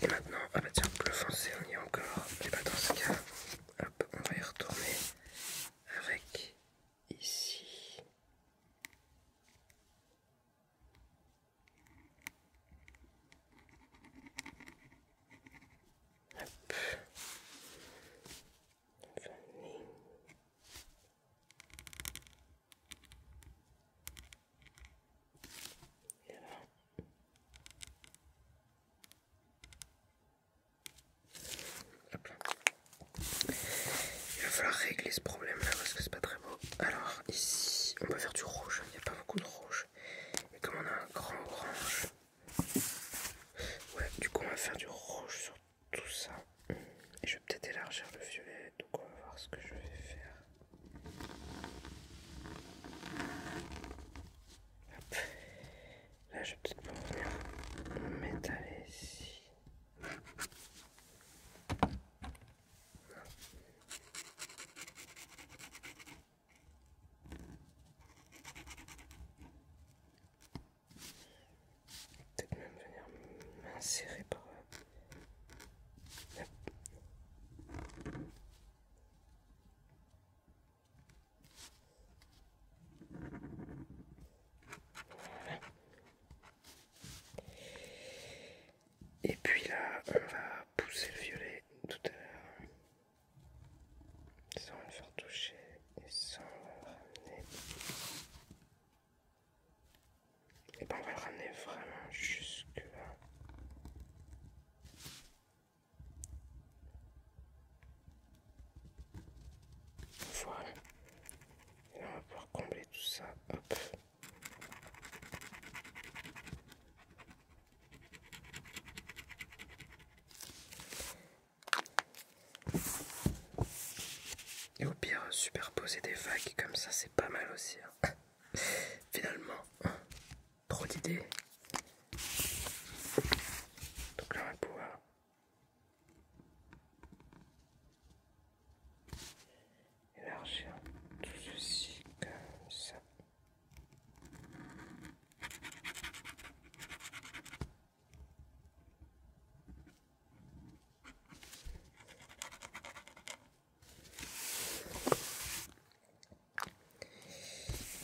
Speaker 1: Et maintenant, à bah tiens, bleu foncé, on y est encore. Et bah dans ce cas, hop, on
Speaker 2: va y retourner avec ici.
Speaker 1: Il va falloir régler ce problème là parce que c'est pas très beau. Alors ici on va faire du rouge, il n'y a pas beaucoup de rouge. mais comme on a un grand orange, ouais du coup on va faire du rouge sur tout ça je vais peut-être élargir le violet, donc on va voir ce que je vais faire. Là, je vais peut-être pouvoir m'étaler ici peut-être même venir m'insérer par euh, là. Et puis là, on va pousser le violet tout à l'heure sans le faire toucher et sans le ramener.
Speaker 2: Et ben on va le ramener vraiment jusque là. Voilà. Et là on va pouvoir combler tout ça.
Speaker 1: Et au pire, superposer des vagues comme ça, c'est pas mal aussi. Hein.
Speaker 2: Finalement, trop d'idées. Donc là, on va pouvoir
Speaker 1: élargir tout ceci comme ça.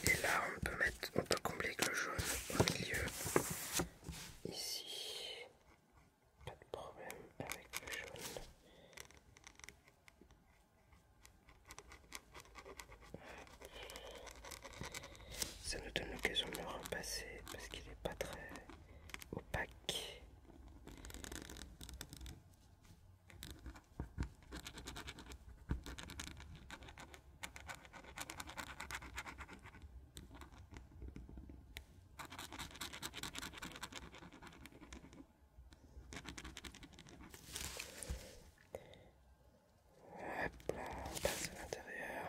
Speaker 2: Et là, on peut mettre, on peut combler avec le jaune au milieu. Ici, pas de problème avec le jaune.
Speaker 1: Ça nous donne l'occasion de le repasser parce qu'il n'est pas très opaque. Hop là, on passe à l'intérieur.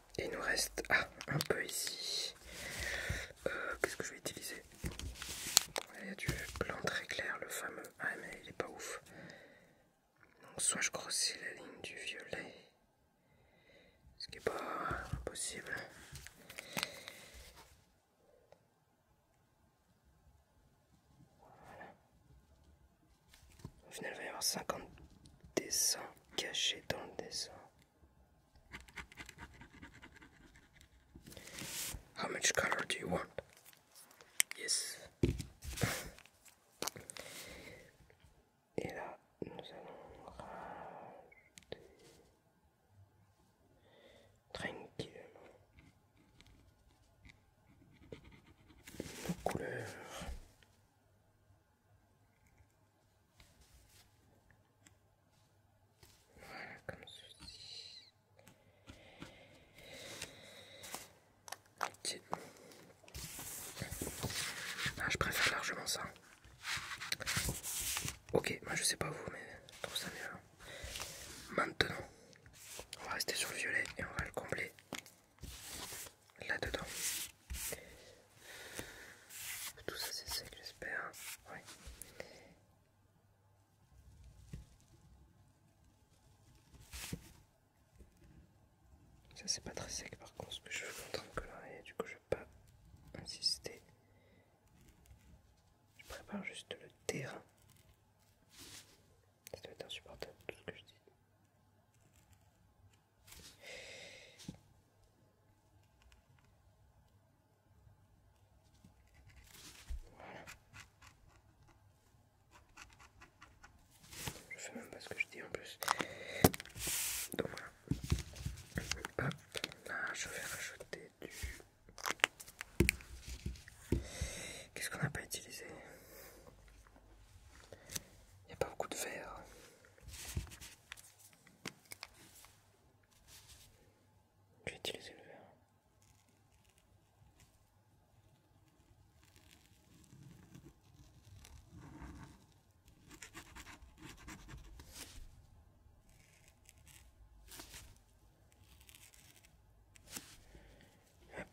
Speaker 1: Il nous reste ah, un peu ici. Euh, qu'est-ce que je vais utiliser Il y a du blanc très clair, le fameux. Ah, mais il est pas ouf. Donc, soit je grossis la ligne du violet, ce qui est pas impossible. Voilà. Au final, il va y avoir 50 dessins caché dans le dessin. How much color do you want?
Speaker 2: Yes. Et là, nous allons rajouter tranquillement nos couleurs.
Speaker 1: Voilà, comme ceci. Ah, je préfère largement ça. Ok, moi je sais pas vous, mais je trouve ça mieux. Maintenant, on va rester sur le violet et on va le combler là-dedans. Tout ça c'est sec j'espère. Ça c'est pas très sec par contre ce que je veux en train de du coup je vais pas insister. Je prépare juste le terrain.
Speaker 2: Ça doit être insupportable tout ce que je dis. Je sais même pas ce que je dis en plus. Donc voilà. Ah, je vais rajouter du... Qu'est-ce qu'on n'a pas utilisé Il n'y a pas beaucoup de verre. Je vais utiliser le verre.
Speaker 1: Hop.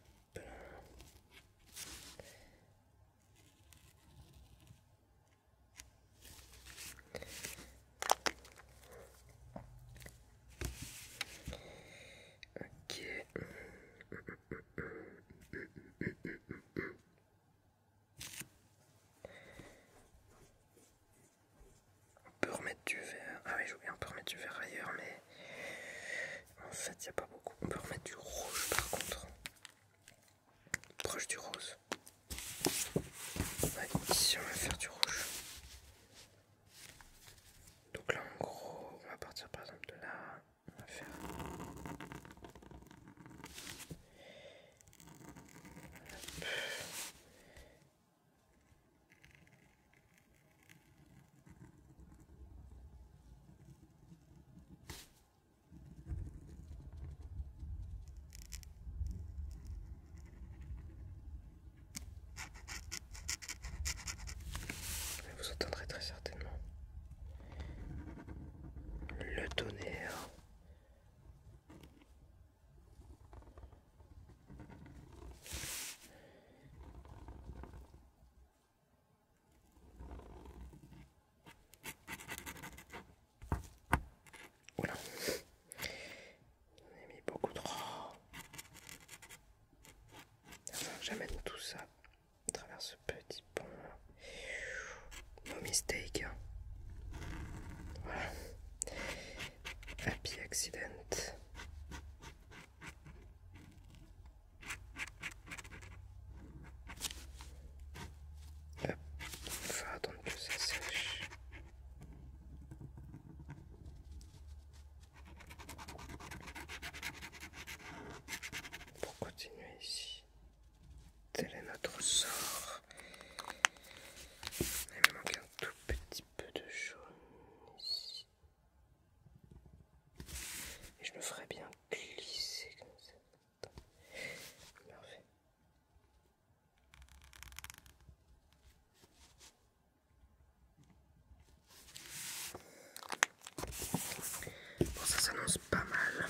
Speaker 1: Ok. On peut remettre du verre. Ah oui, je voulais, on peut remettre du verre ailleurs, mais en fait, il n'y a pas beaucoup. On peut remettre du rouge par contre proche du rose. ici on va faire du rouge. Donc là en gros, on va partir par exemple de là. On va faire.
Speaker 2: Vous entendrez très certainement
Speaker 1: le tonnerre. Oula, on a mis beaucoup trop. J'amène tout ça à travers ce petit pont. No mistake. Hein. Voilà. Happy accident on va attendre que ça sèche. Pour continuer ici, tel est notre sort. Il me manque un tout petit peu de jaune ici. Et je me ferais bien glisser comme ça. Bon, ça s'annonce pas mal.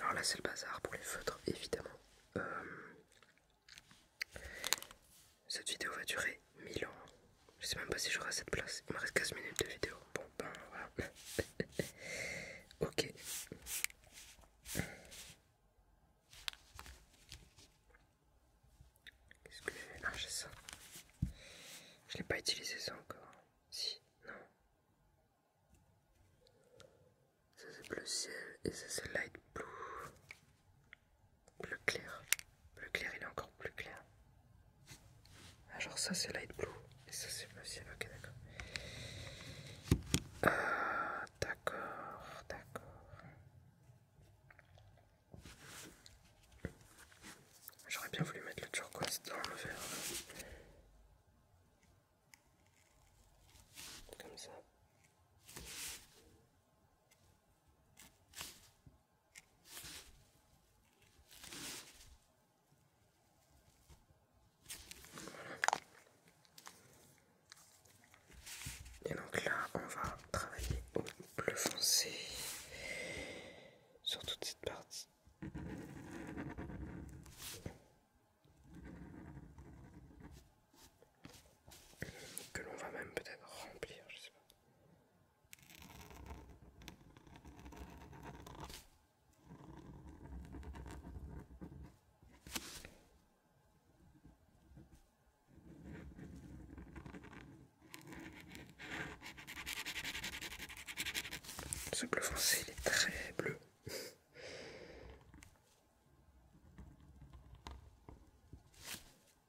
Speaker 1: Alors là, c'est le bazar pour les feutres, évidemment. Euh, cette vidéo va durer 1000 ans. Je sais même pas si j'aurai cette place. Il me reste 15 minutes de vidéo. Bon, ben voilà. ok. Qu'est-ce que j'ai Ah, j'ai ça. Je l'ai pas utilisé ça encore. Si, non. Ça c'est bleu ciel et ça c'est light blue. Plus clair. plus clair, il est encore plus clair. Ah, genre ça c'est light blue. Et ça c'est bleu ciel, ok d'accord. Ah, d'accord, d'accord.
Speaker 2: J'aurais bien voulu mettre le turquoise dans le verre. Comme ça.
Speaker 1: Et donc là, on va travailler au bleu foncé
Speaker 2: sur toute cette partie
Speaker 1: que l'on va même peut-être remplir, je sais pas. Ce bleu foncé, il est très bleu.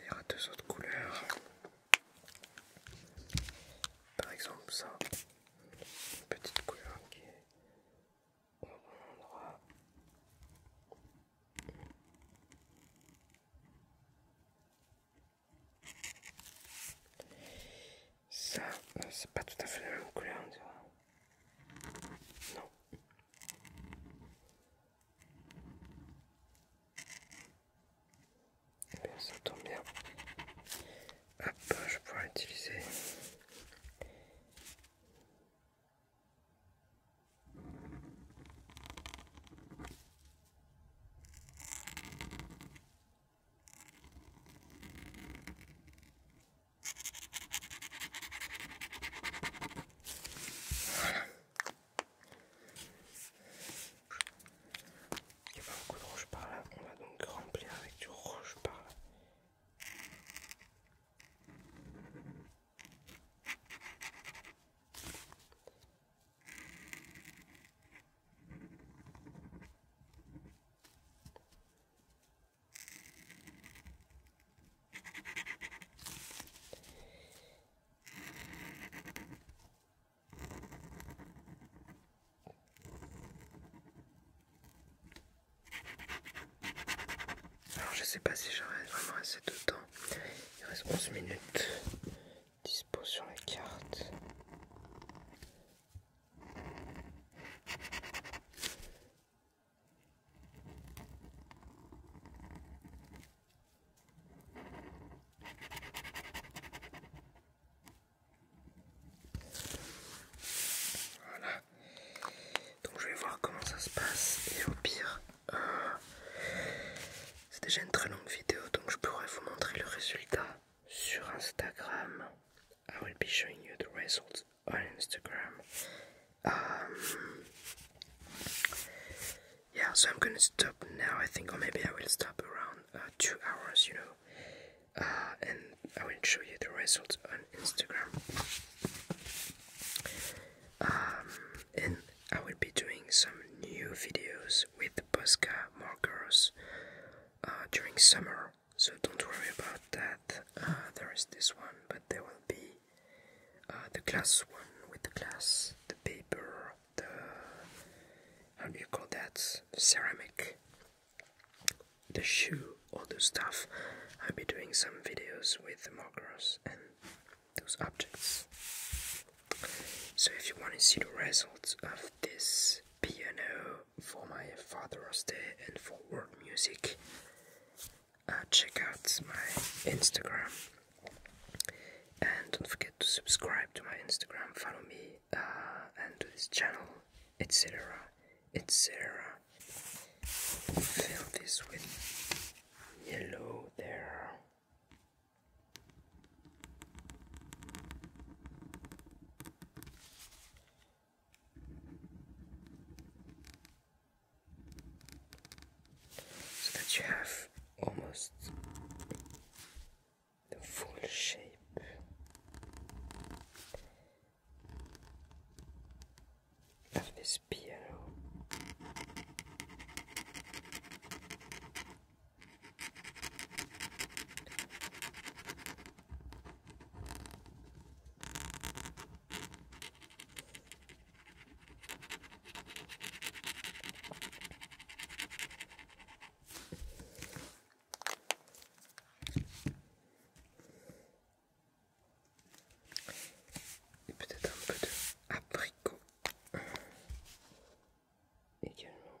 Speaker 1: Il y aura deux autres couleurs. Par exemple ça, une petite couleur qui est au bon endroit. Ça, euh, c'est pas tout à fait la même couleur, on dirait. Non. ça tombe bien. Hop, je pourrais utiliser. Il n'y a pas beaucoup de rouge par là. On va donc remplir avec du rouge par là. Alors je sais pas si j'aurais vraiment assez de temps. Il reste 11 minutes. Dispo sur la carte. Voilà. Donc je vais voir comment ça se passe et au pire, euh, c'est déjà une très longue vidéo donc je pourrais vous montrer le résultat sur Instagram. I will be showing you the results on Instagram. Um, yeah, so I'm gonna stop now, I think, or maybe I will stop around uh, two hours, you know, uh, and I will show you the results on Instagram. Um, and I will be doing some new videos with the Posca markers during summer so don't worry about that. Uh, there is this one, but there will be uh, the glass one with the glass, the paper, the how do you call that? ceramic, the shoe, all those stuff. I'll be doing some videos with the markers and those objects. So if you want to see the results of this piano for my Father's Day and for world music. Uh, check out my Instagram and don't forget to subscribe to my Instagram, follow me, uh, and to this channel, etc. etc. Fill this with yellow there so that you have almost the full shape. Of this
Speaker 2: piano, Et peut-être un peu de abricot
Speaker 1: également.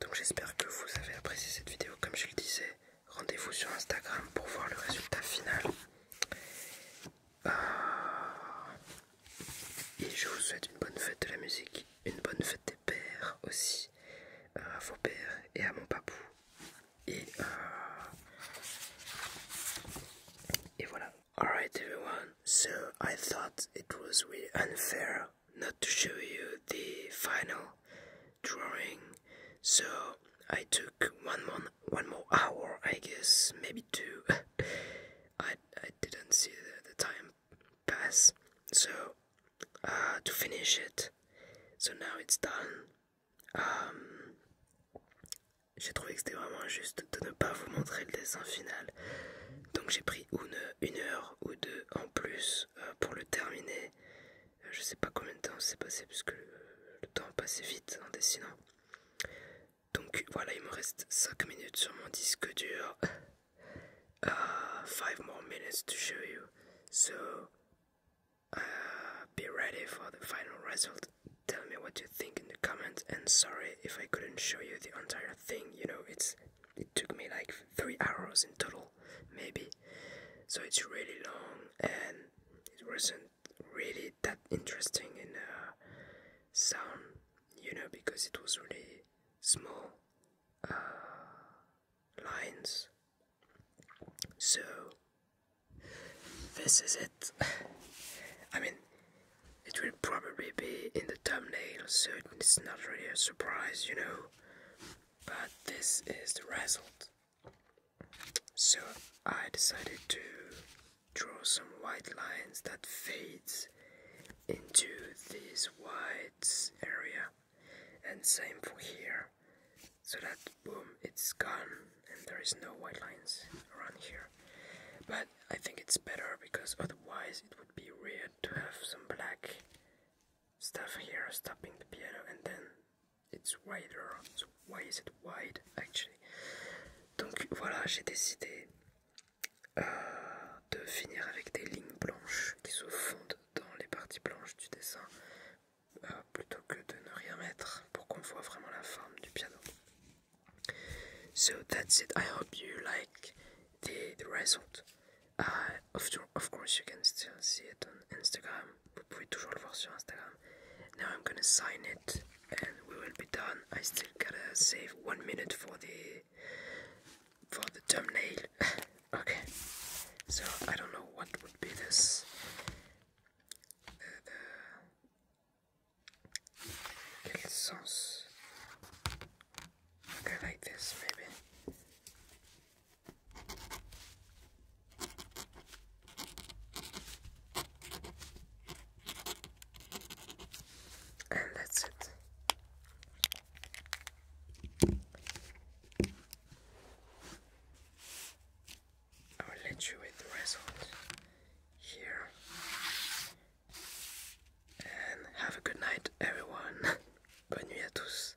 Speaker 1: Donc j'espère que vous avez apprécié cette vidéo. Comme je le disais, rendez-vous sur Instagram pour voir le résultat final. Euh, et je vous souhaite une bonne fête de la musique, une bonne fête des pères aussi, euh, à vos pères et à mon papou. Et, euh, et voilà. Alright everyone, so I thought it was really unfair not to show you the final drawing, so I took one more, one more hour, I guess, maybe two. I, I didn't see the, time pass, so uh, to finish it. So now it's done. Um, j'ai trouvé que c'était vraiment injuste de ne pas vous montrer le dessin final. Donc j'ai pris une, une heure ou deux en plus euh, pour le terminer je sais pas combien de temps s'est passé puisque le, le temps passait vite en dessinant. Donc voilà, il me reste 5 minutes sur mon disque dur. 5 euh, minutes more minutes to show you. So uh, be ready for the final result. Tell me what you think in the comments. and sorry if I couldn't show you the entire thing, you know, it's It took me like three hours in total, maybe. So it's really long, and it wasn't really that interesting in uh, sound, you know, because it was really small uh, lines. So this is it. I mean, it will probably be in the thumbnail, so it's not really a surprise, you know but this is the result. So I decided to draw some white lines that fades into this white area and same for here so that boom it's gone and there is no white lines around here but I think it's better because otherwise it would be weird to have some black stuff here stopping the piano and then it's wider why is it wide actually donc voilà j'ai décidé euh, de finir avec des lignes blanches qui se fondent dans les parties blanches du dessin euh, plutôt que de ne rien mettre pour qu'on voit vraiment la forme du piano so that's it I hope you like the result Ah, of, course you can still see it on Instagram. Vous pouvez toujours le voir sur Instagram. Now I'm gonna sign it and we will be done. I still gotta save one minute for the for the thumbnail. okay. So I don't know what would be this. Uh, the, the, quel Okay, like this maybe. And that's it. I'll let you with the result here. And have a good night, everyone. Bonne nuit à tous.